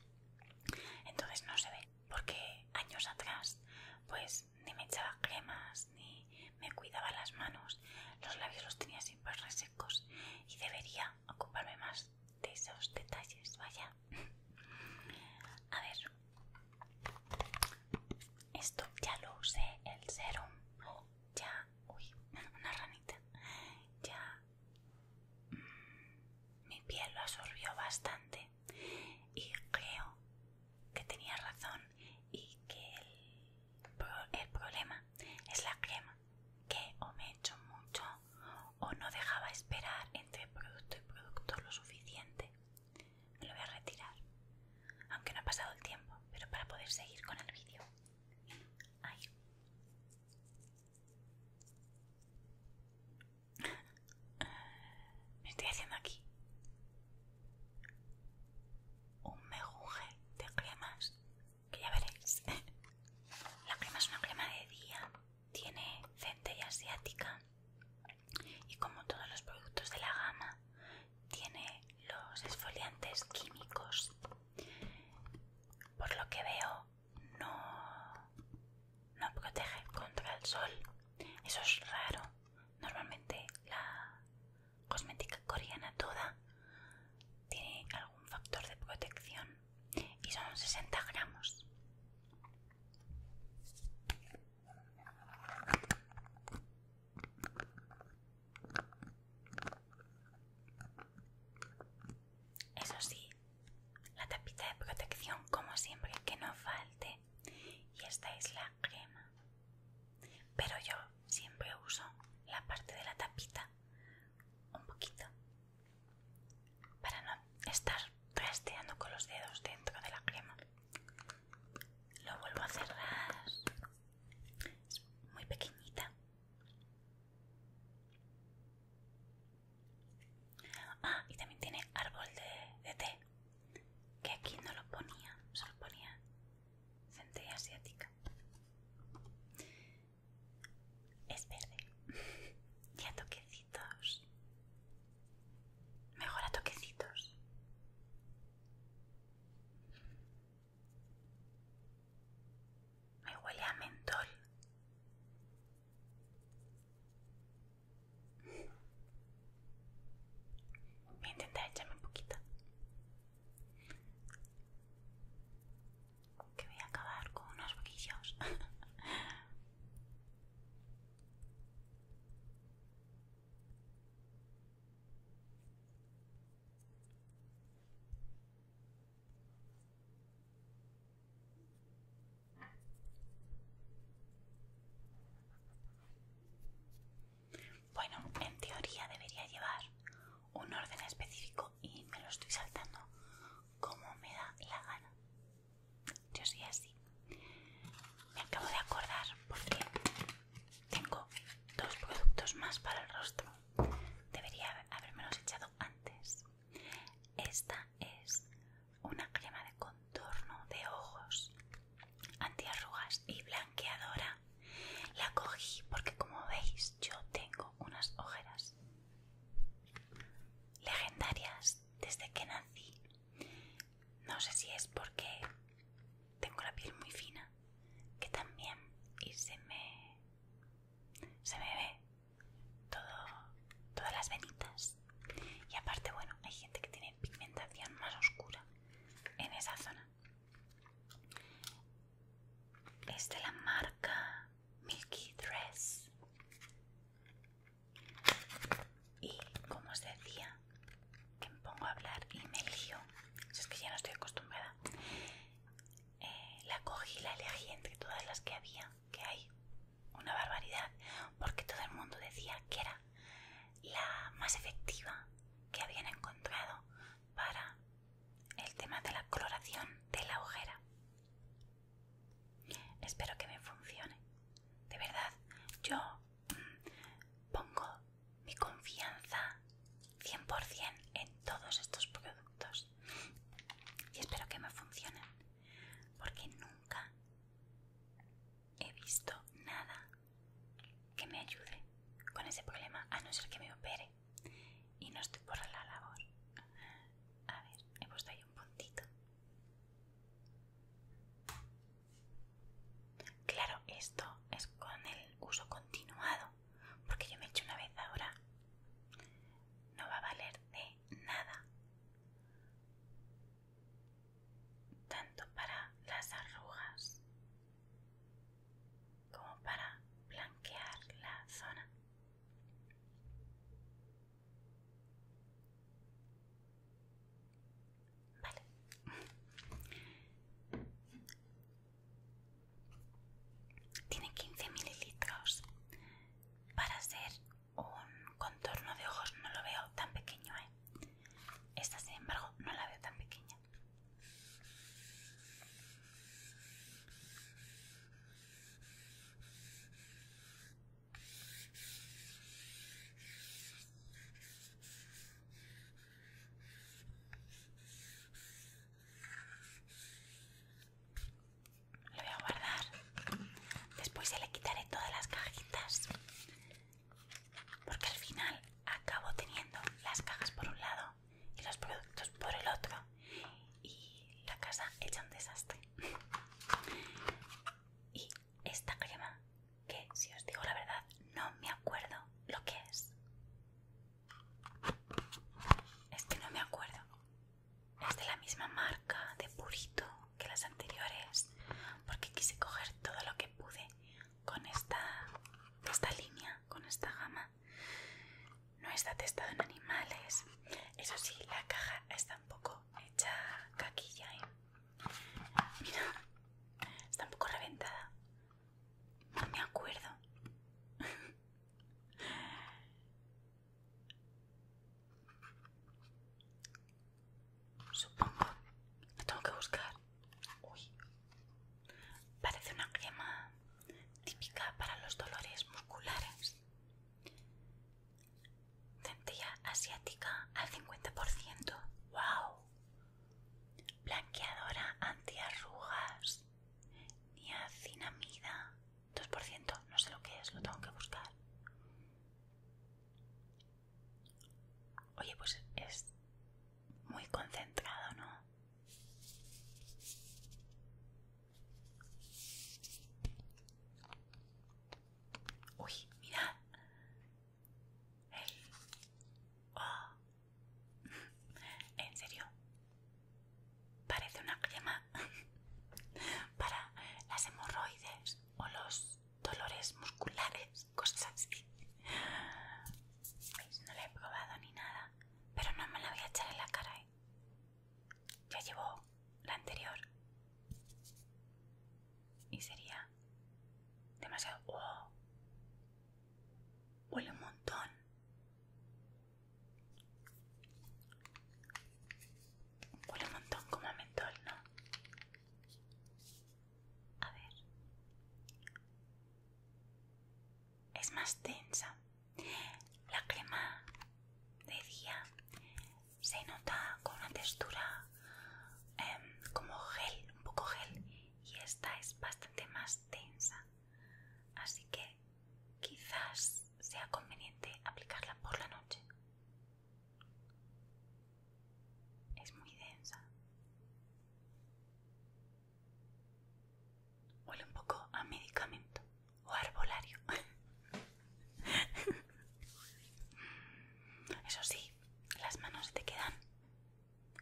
Entonces no se ve, porque años atrás, pues ni me echaba cremas, ni me cuidaba las manos, los labios los tenía siempre resecos y debería ocuparme más de esos detalles, vaya. A ver, esto ya lo usé, el serum. Ya, uy, una ranita. Ya mm, mi piel lo absorbió bastante y creo que tenía razón y que el, el problema es la crema que o me echo mucho o no dejaba esperar entre producto y producto lo suficiente me lo voy a retirar, aunque no ha pasado el tiempo, pero para poder seguir con el vídeo. Me estoy haciendo aquí un mejuje de cremas que ya veréis. La crema es una crema de día, tiene centella asiática y como todos los productos de la gama tiene los esfoliantes químicos. Por lo que veo, no, no protege contra el sol. Eso es raro. Normalmente la cosmética coreana toda tiene algún factor de protección y son 60 gramos. Eso sí, la tapita de protección como siempre que no falte y esta es la crema. Pero yo siempre uso la parte de la tapita un poquito para no estar trasteando con los dedos dentro de la crema. Lo vuelvo a cerrar es muy pequeñita. Ah, y también tiene árbol de, té, que aquí no lo ponía, solo ponía centella asiática. Es verde. y a toquecitos. Mejor a toquecitos. Me huele a mentol. Voy a intentar echarme un poquito. Que voy a acabar con unos boquillos. Bueno, en teoría debería llevar un orden específico y me lo estoy saltando como me da la gana. Yo soy así. Me acabo de acordar Por porque tengo dos productos más para el rostro. Debería habérmelos echado antes. Esta es una crema de contorno de ojos antiarrugas y blanqueadora. La cogí porque como veis yo tengo unas ojeras legendarias desde que nací. No sé si es porque tengo la piel muy fina que también y se me se me ve todas las venitas y aparte bueno hay gente que tiene pigmentación más oscura en esa zona es de la marca Milky Dress y como os decía que me pongo a hablar y me lío. si es que ya no estoy acostumbrada. Eh, la cogí y la elegí entre todas las que había, que hay una barbaridad, porque todo el mundo decía que era la más efectiva que habían encontrado para el tema de la coloración de la ojera. Espero que me funcione. De verdad, yo mm, pongo mi confianza 100% en todos estos productos y espero que me funcionen porque nunca he visto nada que me ayude con ese problema a no ser que me opere y no estoy por la labor a ver he puesto ahí un puntito Claro, esto es con el uso continuado, porque yo me echo una vez ahora. No va a valer de nada. Tanto para las arrugas como para blanquear la zona. Vale. Tiene 15 mililitros. Para hacer un contorno de ojos no lo veo tan pequeño, ¿eh? Esta, sin embargo, no la veo tan pequeña. Lo voy a guardar. Después ya le quitaré todas las cajitas. Porque al final acabo teniendo las cajas por un lado y los productos por el otro. Y la casa echa un desastre. Y esta crema que, si os digo la verdad, no me acuerdo lo que es. Es que no me acuerdo. Es de la misma marca de Purito que las anteriores, porque quise coger todo lo que pude con esta, esta línea, con esta gama. No está testado en animales. Eso sí, la caja está un poco hecha caquilla. ¿eh? Mira, está un poco reventada. No me acuerdo. Supongo. Lo tengo que buscar. Uy. Parece una crema típica para los dolores musculares. Centella asiática al 50%. ¡Wow! Blanqueadora antiarrugas. Niacinamida. 2%. No sé lo que es, lo tengo que buscar. Oye, pues es muy concentrado, ¿no? Uy, mirad. Oh, en serio, parece una crema para las hemorroides o los dolores musculares, cosas así. Pues no la he probado ni nada, pero no me la voy a echar en la cara. ¿eh? Ya llevo la anterior y sería demasiado. Huele un montón. Huele un montón como mentol, ¿no? A ver. Es más densa. La crema de día se nota con una textura em, como gel, un poco gel y esta es bastante más densa, así que quizás sea conveniente aplicarla por la noche. Es muy densa. Huele un poco a medicamento o arbolario. Eso sí, las manos te quedan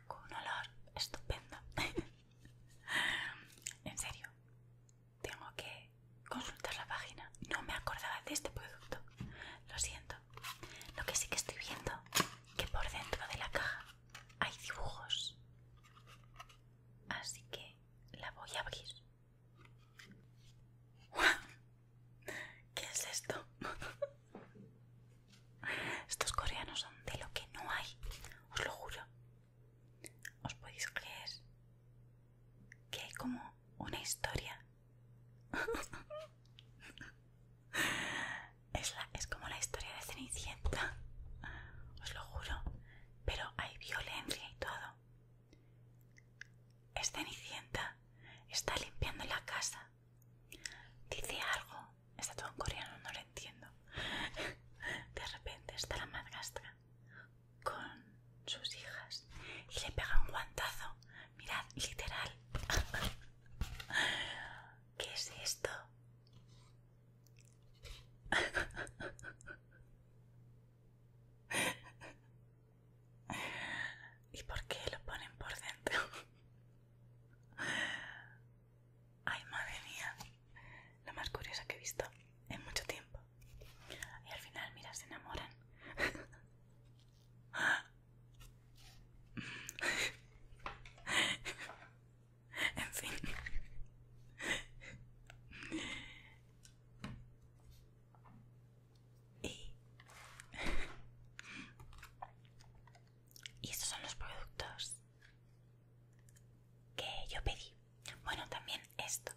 con un olor estupendo. en serio, tengo que consultar la página. No me acordaba de este producto. Lo siento. Lo que sí que estoy viendo que por dentro de la caja hay dibujos. Así que la voy a abrir. ¿Qué es esto? Estos coreanos son de lo que no hay, os lo juro. Os podéis creer que hay como una historia. es, es como la historia de Cenicienta, os lo juro. Pero hay violencia y todo. Es Cenicienta, está limpiando la casa Dice algo. Está todo en coreano, no lo entiendo. De repente está la madrastra con sus hijas y le pega un guantazo. Mirad, literal. ¿Qué es esto? ¿Y por qué lo ponen por dentro? Ay, madre mía. Lo más curioso que he visto en mucho tiempo. Y al final, mira, se enamoran. en fin. y... y estos son los productos que yo pedí. Bueno, también esto.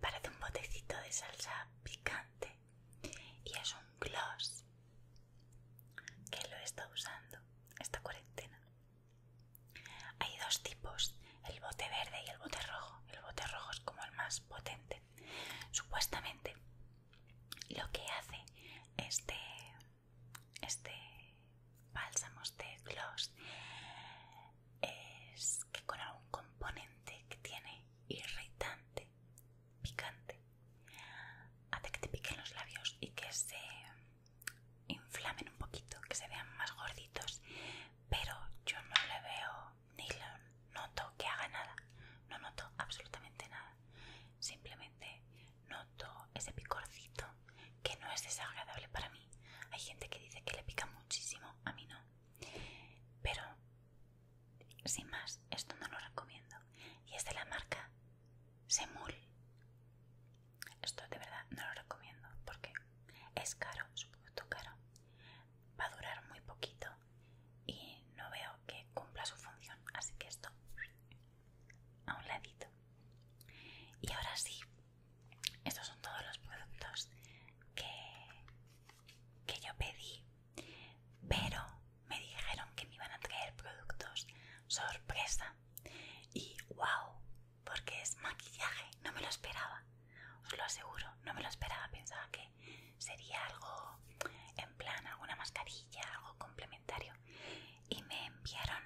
Parece un botecito de salsa picante y es un gloss que lo está usando esta cuarentena. Hay dos tipos, el bote verde y el bote rojo. El bote rojo es como el más potente. Supuestamente lo que hace este este bálsamo de este gloss es que con algún componente que tiene irritante, picante, hace que te piquen los labios y que se inflamen un poquito, que se vean más gorditos, pero yo no le veo ni lo noto que haga nada, no noto absolutamente nada, simplemente noto ese picorcito que no es desagradable para mí. Hay gente que dice que le pica muchísimo, a mí no. Pero, sin más, esto no lo recomiendo. Y es de la marca Semul. Esto de verdad no lo recomiendo porque es caro, su producto caro. Va a durar muy poquito y no veo que cumpla su función. Así que esto a un ladito. Y ahora sí, estos son todos los productos que, que yo pedí, pero me dijeron que me iban a traer productos sorpresa. Y wow, porque es maquillaje, no me lo esperaba, os lo aseguro, no me lo esperaba, pensaba que sería algo en plan alguna mascarilla, algo complementario y me enviaron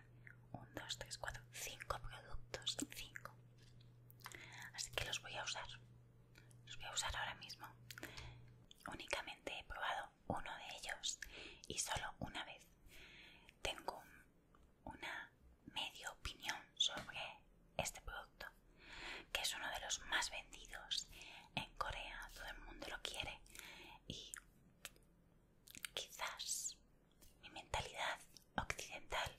un 2, 3, 4, 5 productos, cinco, Así que los voy a usar. Los voy a usar ahora mismo. Únicamente he probado uno de ellos y solo una vez. Tengo una media opinión sobre este producto, que es uno de los más vendidos en Corea. Todo el mundo lo quiere y Quizás mi mentalidad occidental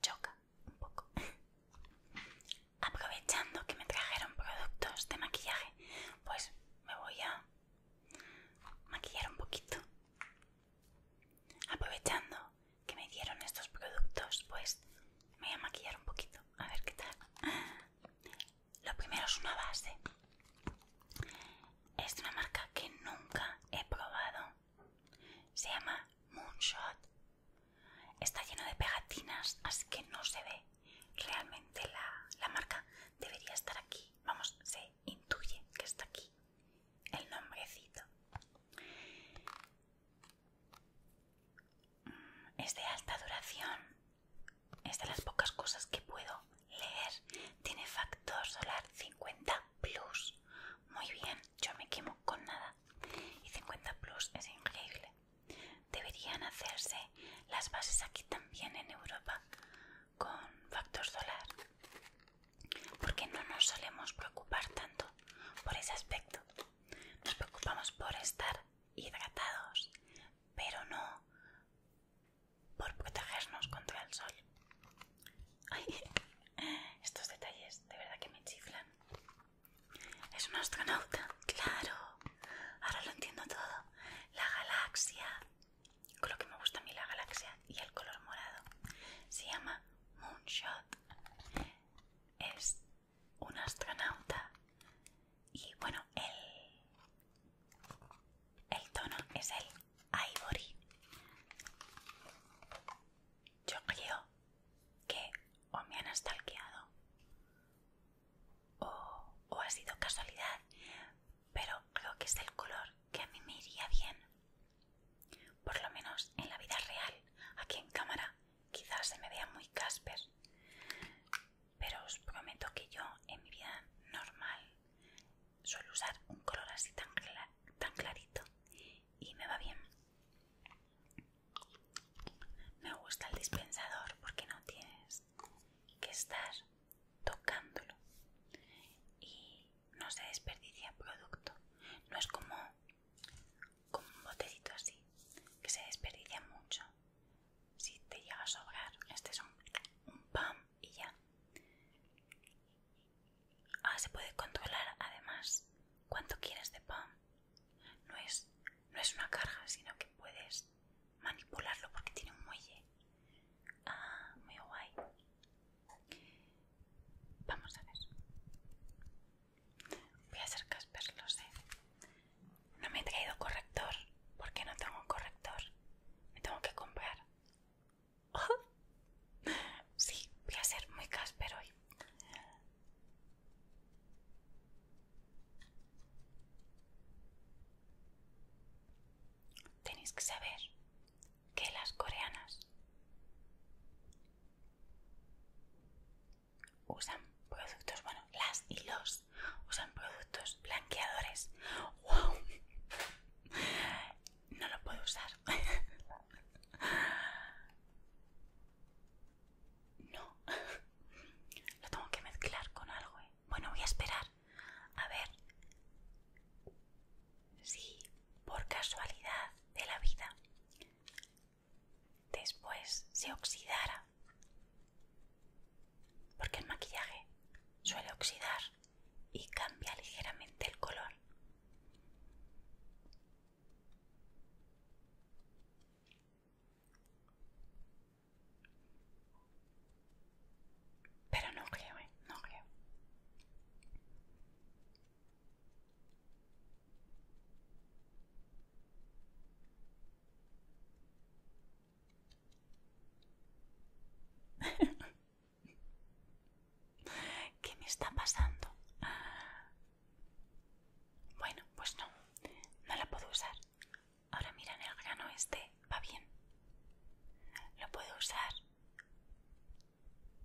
choca un poco. Aprovechando que me trajeron productos de maquillaje, pues me voy a maquillar un poquito. Aprovechando que me dieron estos productos, pues me voy a maquillar un poquito, a ver qué tal lo primero es una base. Es una marca que nunca he probado. Se llama Moonshot. Está lleno de pegatinas, así que no se ve realmente la, la marca. Debería estar aquí. Vamos, se intuye que está aquí el nombrecito. Es de alta duración es de las pocas cosas que puedo leer. Tiene factor solar 50 plus. Muy bien, yo me quemo con nada. Y 50 plus es increíble. Deberían hacerse las bases aquí también en Europa con factor solar. Porque no nos solemos preocupar tanto por ese aspecto. Nos preocupamos por estar hidratados, pero no por protegernos contra el sol. Ay, estos detalles de verdad que me chiflan. Es un astronauta, claro. Ahora lo entiendo todo. La galaxia. Con lo que me gusta a mí la galaxia y el color morado. Se llama Moonshot. Es un astronauta. Y bueno, el el tono es el ivory. Yo creo que o me han estalqueado o, o ha sido casualidad, pero creo que es el color que a mí me iría bien. Por lo menos en la vida real, aquí en cámara, quizás se me vea muy Casper, pero os prometo que yo en mi vida normal Suelo usar un color así tan, clarito y me va bien. Me gusta el dispensador porque no tienes que estar tocándolo y no se desperdicia producto. No es como, como un botecito así que se desperdicia mucho. Si te llega a sobrar, este es un, un y ya. Ah, se puede controlar además cuánto quieres de pan. No es, no es una carga, sino que puedes manipularlo porque tiene un muelle. Ah, muy guay. Vamos a ver. Voy a hacer Casper, lo sé. No me he traído corrector porque no tengo corrector me tengo que comprar. Sí, voy a ser muy casper hoy. Tenéis que saber que las coreanas usan productos, bueno, las y los usan productos blanqueadores. ¡Wow! No lo puedo usar. No. Lo tengo que mezclar con algo. ¿eh? Bueno, voy a esperar. A ver. Si por casualidad de la vida después se oxidara porque el maquillaje suele oxidar y cambia ligeramente el color. Pero no creo, ¿eh? no creo. ¿Qué me está pasando? Bueno, pues no, no la puedo usar. Ahora mira, en el grano este va bien. Lo puedo usar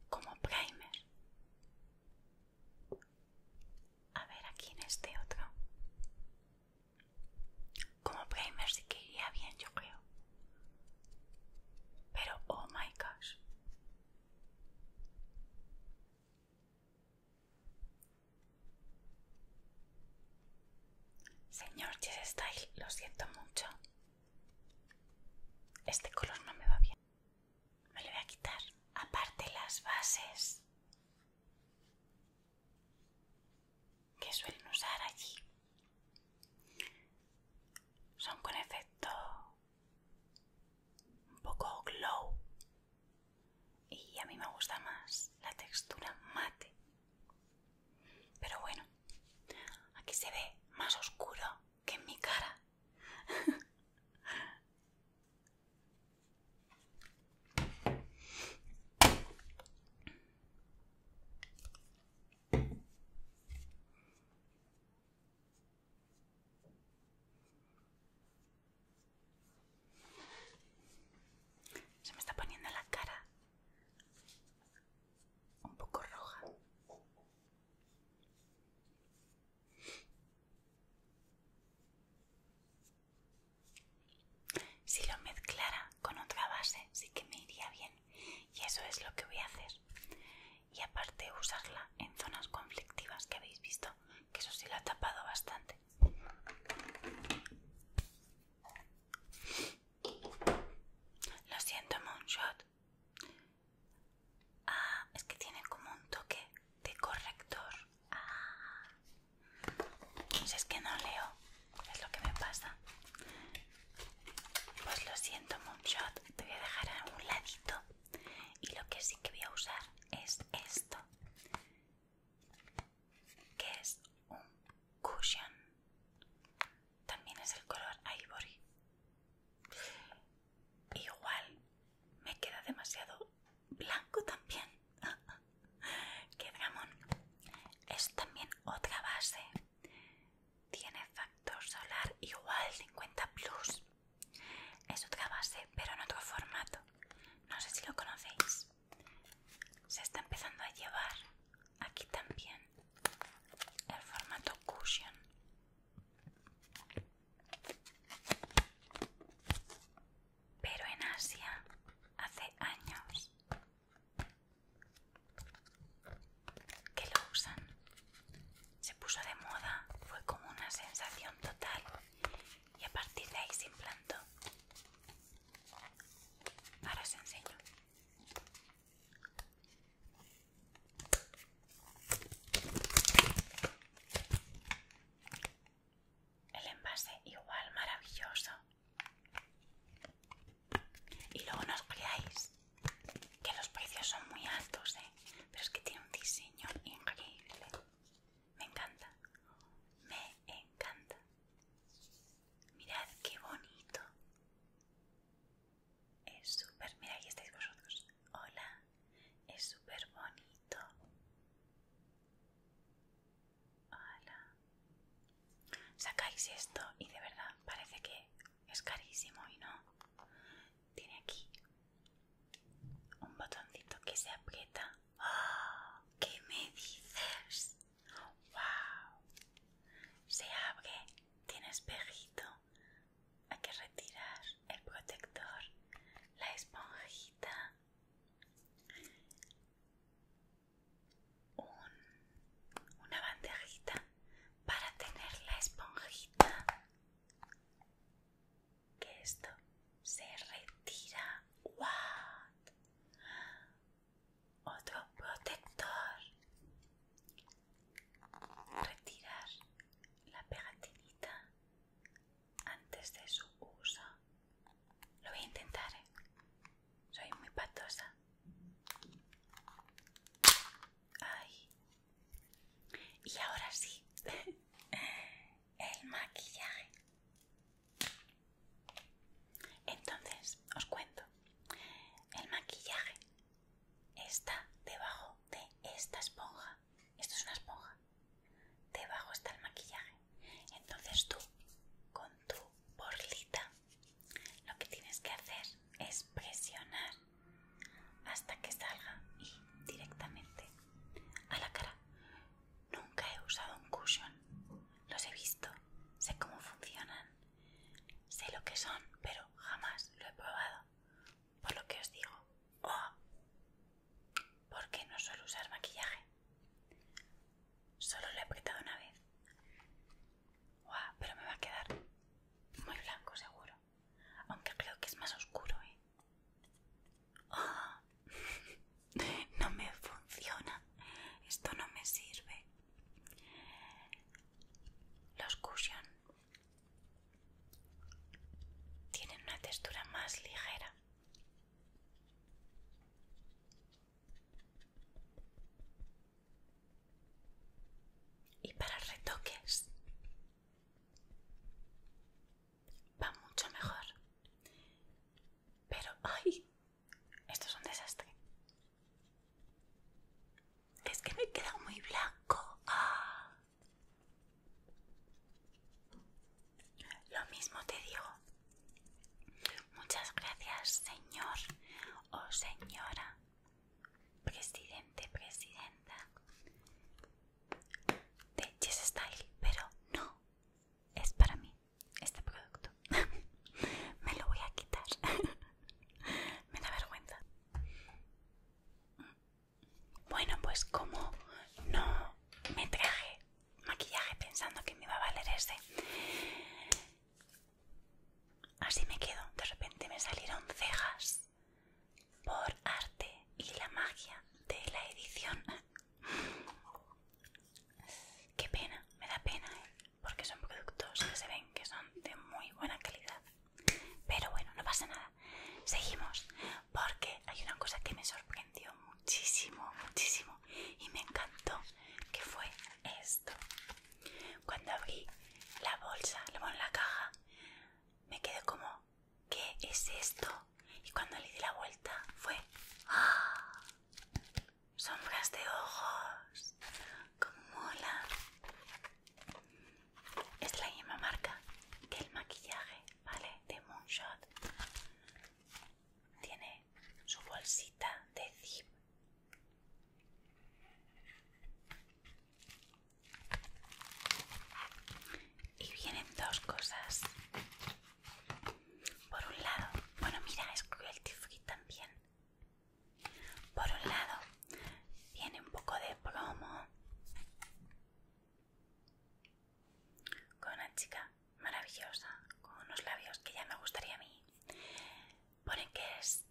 como primer. A ver, aquí en este otro. Como primer sí que iría bien, yo creo. Pero, oh my gosh. Señor Jess Style, lo siento mucho. Este color no me va bien. Me lo voy a quitar. Aparte las bases que suelen usar allí son con efecto un poco glow y a mí me gusta más la textura mate pero bueno aquí se ve más oscuro que en mi cara Se me está poniendo la cara un poco roja. Si lo mezclara con otra base, sí que me iría bien y eso es lo que voy a hacer y aparte usarla en zonas conflictivas que habéis visto que eso sí lo ha tapado bastante lo siento Moonshot ah es que tiene como un toque de corrector ah. si es que no leo es lo que me pasa pues lo siento Moonshot, te voy a dejar a un ladito y lo que sí que voy a usar es esto que es un cushion también es el color ivory igual me queda demasiado blanco también que dramón! es también otra base tiene factor solar igual 50 plus. Es otra base, pero en otro formato. No sé si lo conocéis. Se está empezando a llevar aquí también el formato cushion. Pero en Asia hace años que lo usan. Se puso de moda, fue como una sensación total y a partir de ahí se implantó. Ahora se enseño. El envase igual maravilloso, y luego no os creáis que los precios son muy altos, ¿eh? pero es que tiene un diseño increíble. Me encanta, me encanta. Mirad qué bonito. Es súper, mirad, ahí estáis vosotros. Hola, es súper bonito. Hola. Sacáis esto y de verdad parece que es carísimo y no. Tiene aquí un botoncito que se aprieta. ¡Oh! ¿Qué me dices? ¡Wow! Se abre, tiene espejito. Hay que retirar el protector, la esponjita una bandejita para tener la esponjita que esto se retira otro protector retirar la pegatinita antes de su uso lo voy a intentar ¿eh? Soy muy patosa. Y ahora sí. El maquillaje. Entonces, os cuento. El maquillaje está debajo de esta esponja. Esto es una esponja. Debajo está el maquillaje. Entonces tú, con tu borlita, lo que tienes que hacer es presionar hasta que salga y directamente a la cara. Nunca he usado un cushion, los he visto, sé cómo funcionan, sé lo que son, pero jamás lo he probado. Por lo que os digo, oh, ¿por qué no suelo usar maquillaje? Solo lo he apretado una vez pero me va a quedar muy blanco seguro. Aunque creo que es más oscuro, ¿eh? Ah, no me funciona. Esto no me sirve. Los cushion tienen una textura más ligera. Y para retoques va mucho mejor. Pero, ¡ay! Esto es un desastre. Es que me quedado muy blanco. Ah. Lo mismo te digo. Muchas gracias, señor o señora, presidente, presidenta de Yes Style, pero no es para mí este producto. Me lo voy a quitar. Me da vergüenza. Bueno, pues como no me traje maquillaje pensando que me iba a valer ese, Así me quedo. De repente me salieron cejas por arte y la magia de la edición. Qué pena, me da pena, ¿eh? porque son productos que se ven que son de muy buena calidad. Pero bueno, no pasa nada. Seguimos, porque hay una cosa que me sorprendió muchísimo, muchísimo y me encantó, que fue esto. Cuando abrí la bolsa, en la caja, me quedé como, ¿qué es esto? Y cuando le di la vuelta fue, ¡ah! Sombras de ojos, ¡Cómo mola. Es la misma marca que el maquillaje, ¿vale? De Moonshot. Tiene su bolsita de zip y vienen dos cosas. Por un lado, bueno, mira, es cruelty free también. Por un lado, viene un poco de plomo con una chica maravillosa, con unos labios que ya me gustaría a mí ponen que es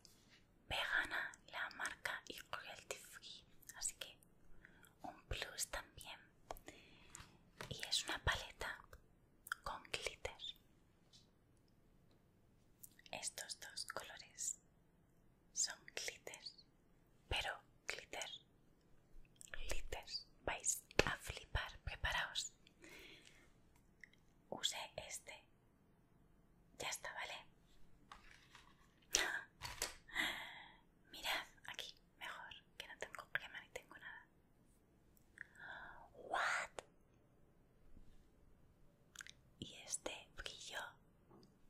vegana la marca y cruelty free así que un plus también y es una paleta con glitter estos dos colores son glitter pero glitter glitter vais a flipar preparaos Use este ya está, ¿vale? Mirad, aquí, mejor, que no tengo crema ni tengo nada. What? Y este brillo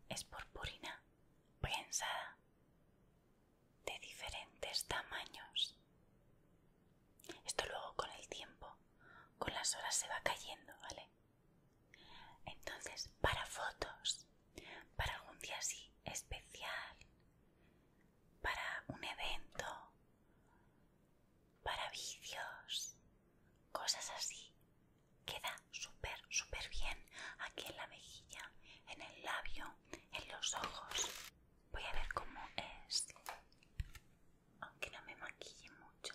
es purpurina Pensada. de diferentes tamaños. Esto luego con el tiempo, con las horas se va cayendo, ¿vale? Entonces, para fotos, para algún día así especial, para un evento, para vídeos, cosas así, queda súper, súper bien aquí en la mejilla, en el labio, en los ojos. Voy a ver cómo es aunque no me maquille mucho.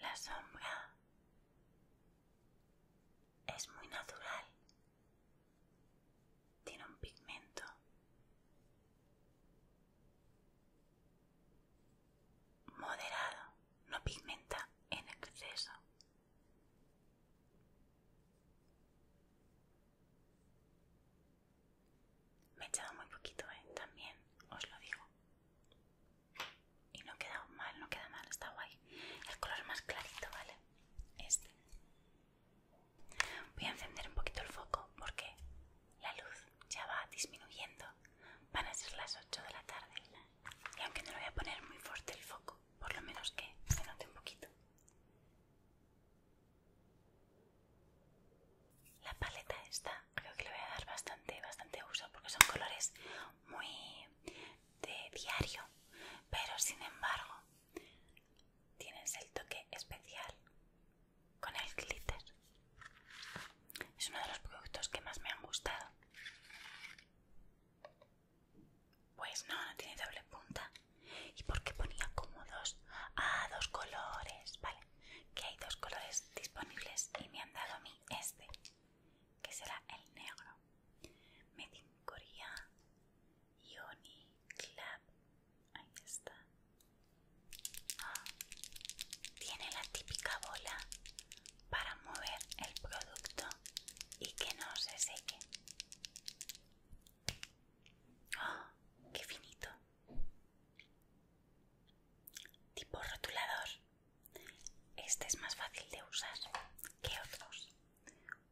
La sombra es muy natural. Tiene un pigmento. Moderado, no pigmenta en exceso. Me he echado muy poquito, ¿eh? También os lo digo. Y no queda mal, no queda mal, está guay. El color más clarito, ¿vale? Este. Voy a encender un poquito el foco porque la luz ya va disminuyendo. Van a ser las 8 de la tarde. Y aunque no lo voy a poner muy fuerte el foco, por lo menos que se note un poquito. La paleta esta creo que le voy a dar bastante, bastante uso porque son colores muy de diario, pero sin embargo tienes el toque especial con el glitter. Es uno de los productos que más me han gustado. Pues no, no tiene doble punta. ¿Y por ponía como dos? Ah, dos colores. Vale que hay dos colores disponibles y me han dado a mí este, que será el negro. Medincorea Yoni Club. Ahí está. Ah, tiene la típica bola para mover el producto y que no se seque. Ah, ¡Qué finito! tipo rotulador este es más fácil de usar que otros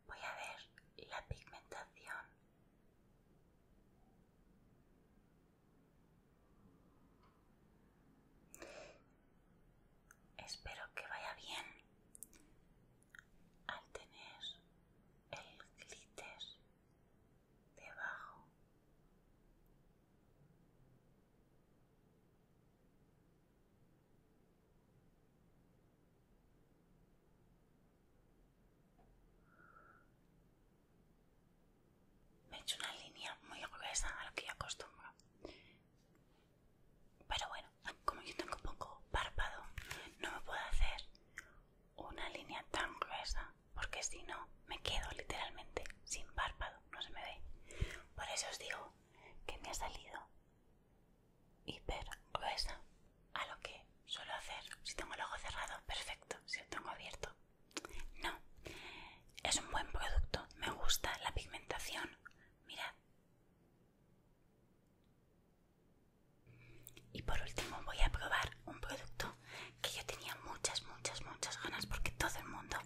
voy a ver la pigmentación espero que vaya bien al tener el glitter debajo me he hecho una línea muy gruesa a lo que yo acostumbro pero bueno como yo tengo poco párpado no me puedo hacer una línea tan gruesa porque si no me quedo literalmente sin párpado, no se me ve. Por eso os digo que me ha salido hiper gruesa a lo que suelo hacer. Si tengo el ojo cerrado, perfecto. Si lo tengo abierto, no. Es un buen producto, me gusta la pigmentación. Mirad. Y por último voy a probar un producto que yo tenía muchas, muchas, muchas ganas porque todo el mundo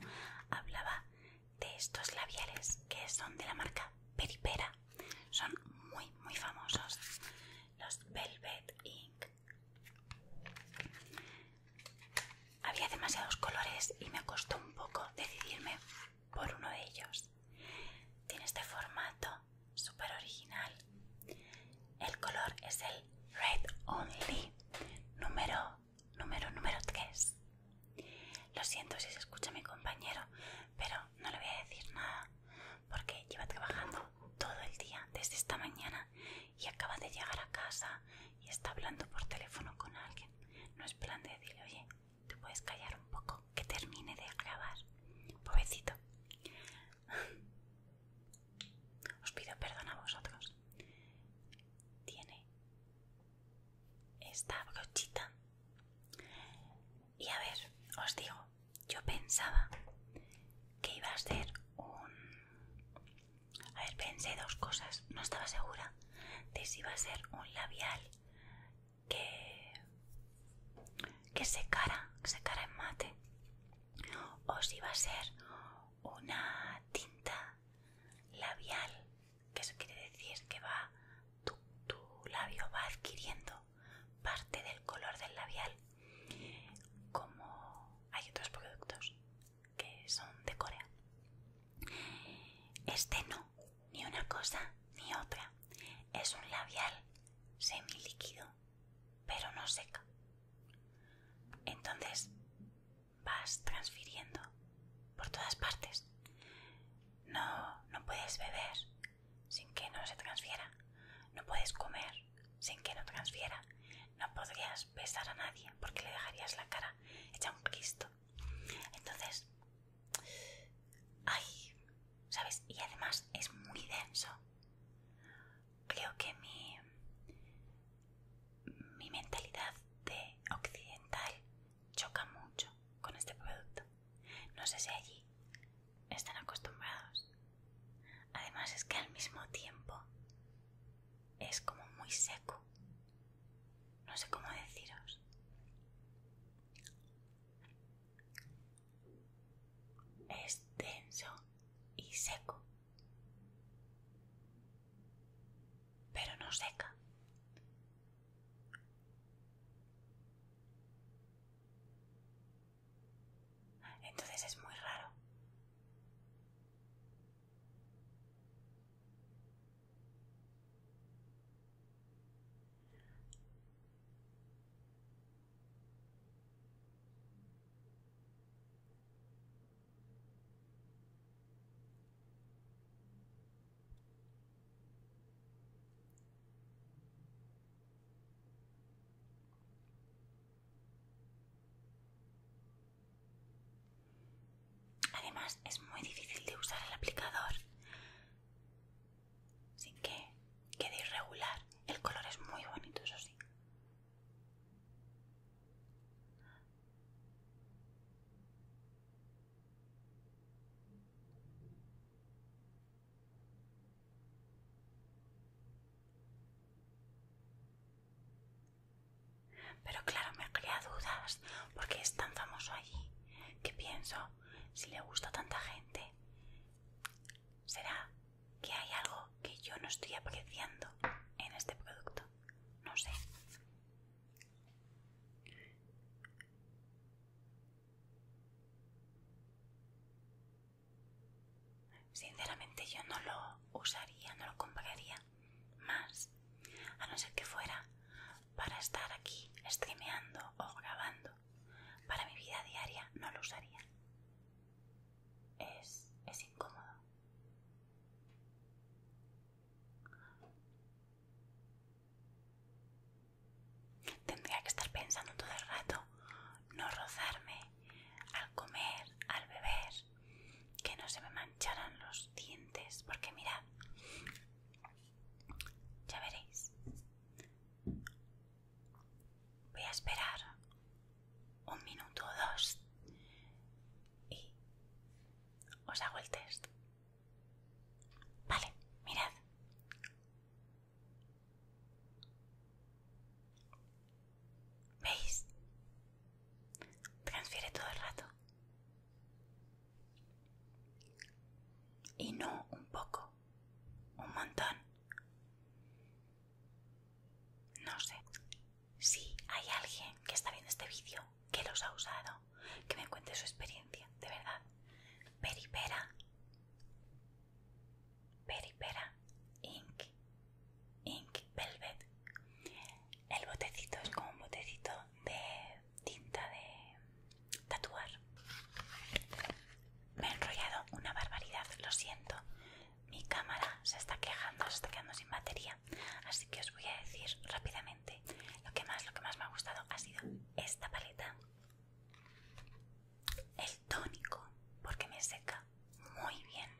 hablaba de estos labiales que son de la marca Peripera. Son muy, muy famosos. Los Velvet Ink. Había demasiados colores y me costó un poco decidirme por uno de ellos. Tiene este formato súper original el color es el Red Only, número, número, 3. Lo siento si se escucha mi compañero, pero no le voy a decir nada porque lleva trabajando todo el día desde esta mañana y acaba de llegar a casa y está hablando por teléfono con alguien. No es plan de decirle, oye, te puedes callar un poco, que termine de grabar. Pobrecito os pido perdón a vosotros. Tiene esta brochita. Y a ver, os digo, yo pensaba que iba a ser un... A ver, pensé dos cosas, no estaba segura de si iba a ser un labial que, que cara que cara en mate, o si iba a ser una tinta labial, que eso quiere decir que va tu, tu labio va adquiriendo parte del color del labial. Como hay otros productos que son de Corea. Este no, ni una cosa ni otra. Es un labial semilíquido pero no seca. Entonces vas transfiriendo por todas partes. No, no puedes beber sin que no se transfiera. No puedes comer sin que no transfiera. No podrías besar a nadie porque le dejarías la cara hecha un cristo. Entonces, ay, ¿sabes? Y además es muy denso. Creo que mi, mi mentalidad de occidental choca mucho con este producto. No sé si allí están acostumbrados. Además es que al mismo tiempo es como muy seco. No sé cómo deciros. Es denso y seco pero no seca. Entonces es muy raro. Además, es muy difícil de usar el aplicador sin que quede irregular. El color es muy bonito, eso sí. Pero claro, me crea dudas, porque es tan famoso allí, que pienso, si le gusta a tanta gente, será que hay algo que yo no estoy apreciando en este producto. No sé. Sinceramente yo no lo usaría, no lo compraría más, a no ser que fuera para estar aquí streameando o grabando. Para mi vida diaria no lo usaría es, es incómodo. Tendría que estar pensando todo el rato, no rozarme al comer, al beber, que no se me mancharan los dientes, porque mirad, ya veréis. Voy a esperar un minuto o dos y os hago el test. Vale, mirad. ¿Veis? Transfiere todo el rato. Y no un poco, un montón. No sé. Si hay alguien que está viendo este vídeo que los ha usado, que me cuente su experiencia, de verdad. Peripera. Peripera. Ink. Ink Velvet. El botecito es como un botecito de tinta de tatuar. Me he enrollado una barbaridad, lo siento. Mi cámara se está quejando, se está quedando sin batería. Así que os voy a decir rápidamente lo que más, lo que más me ha gustado ha sido esta paleta, el tónico, porque me seca muy bien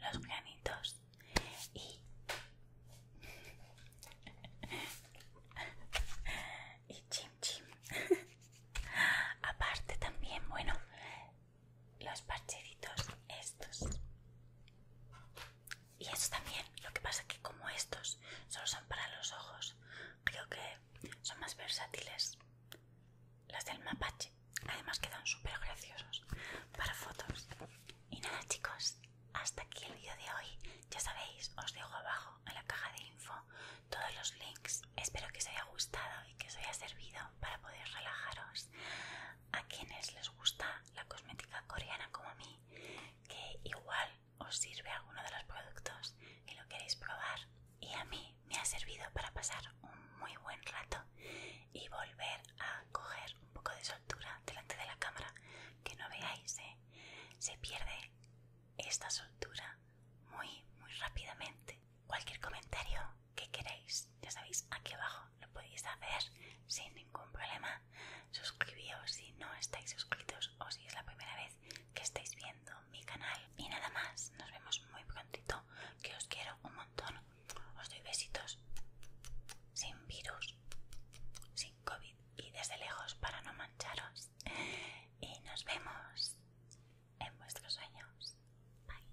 los granitos y y chim chim aparte también bueno los parchecitos estos y eso también lo que pasa que como estos solo son para los ojos creo que son más versátiles las del mapache además quedan súper graciosos para fotos y nada chicos hasta aquí el vídeo de hoy ya sabéis os dejo abajo en la caja de info todos los links espero que os haya gustado y que os haya servido para poder relajaros a quienes les gusta la cosmética coreana como a mí, que igual os sirve alguno de los productos y lo queréis probar. Y a mí me ha servido para pasar un muy buen rato y volver a coger un poco de soltura delante de la cámara, que no veáis, ¿eh? se pierde esta soltura muy, muy rápidamente. Cualquier comentario qué queréis. Ya sabéis, aquí abajo lo podéis hacer sin ningún problema. Suscribíos si no estáis suscritos o si es la primera vez que estáis viendo mi canal. Y nada más, nos vemos muy prontito, que os quiero un montón. Os doy besitos sin virus, sin COVID y desde lejos para no mancharos. Y nos vemos en vuestros sueños. Bye.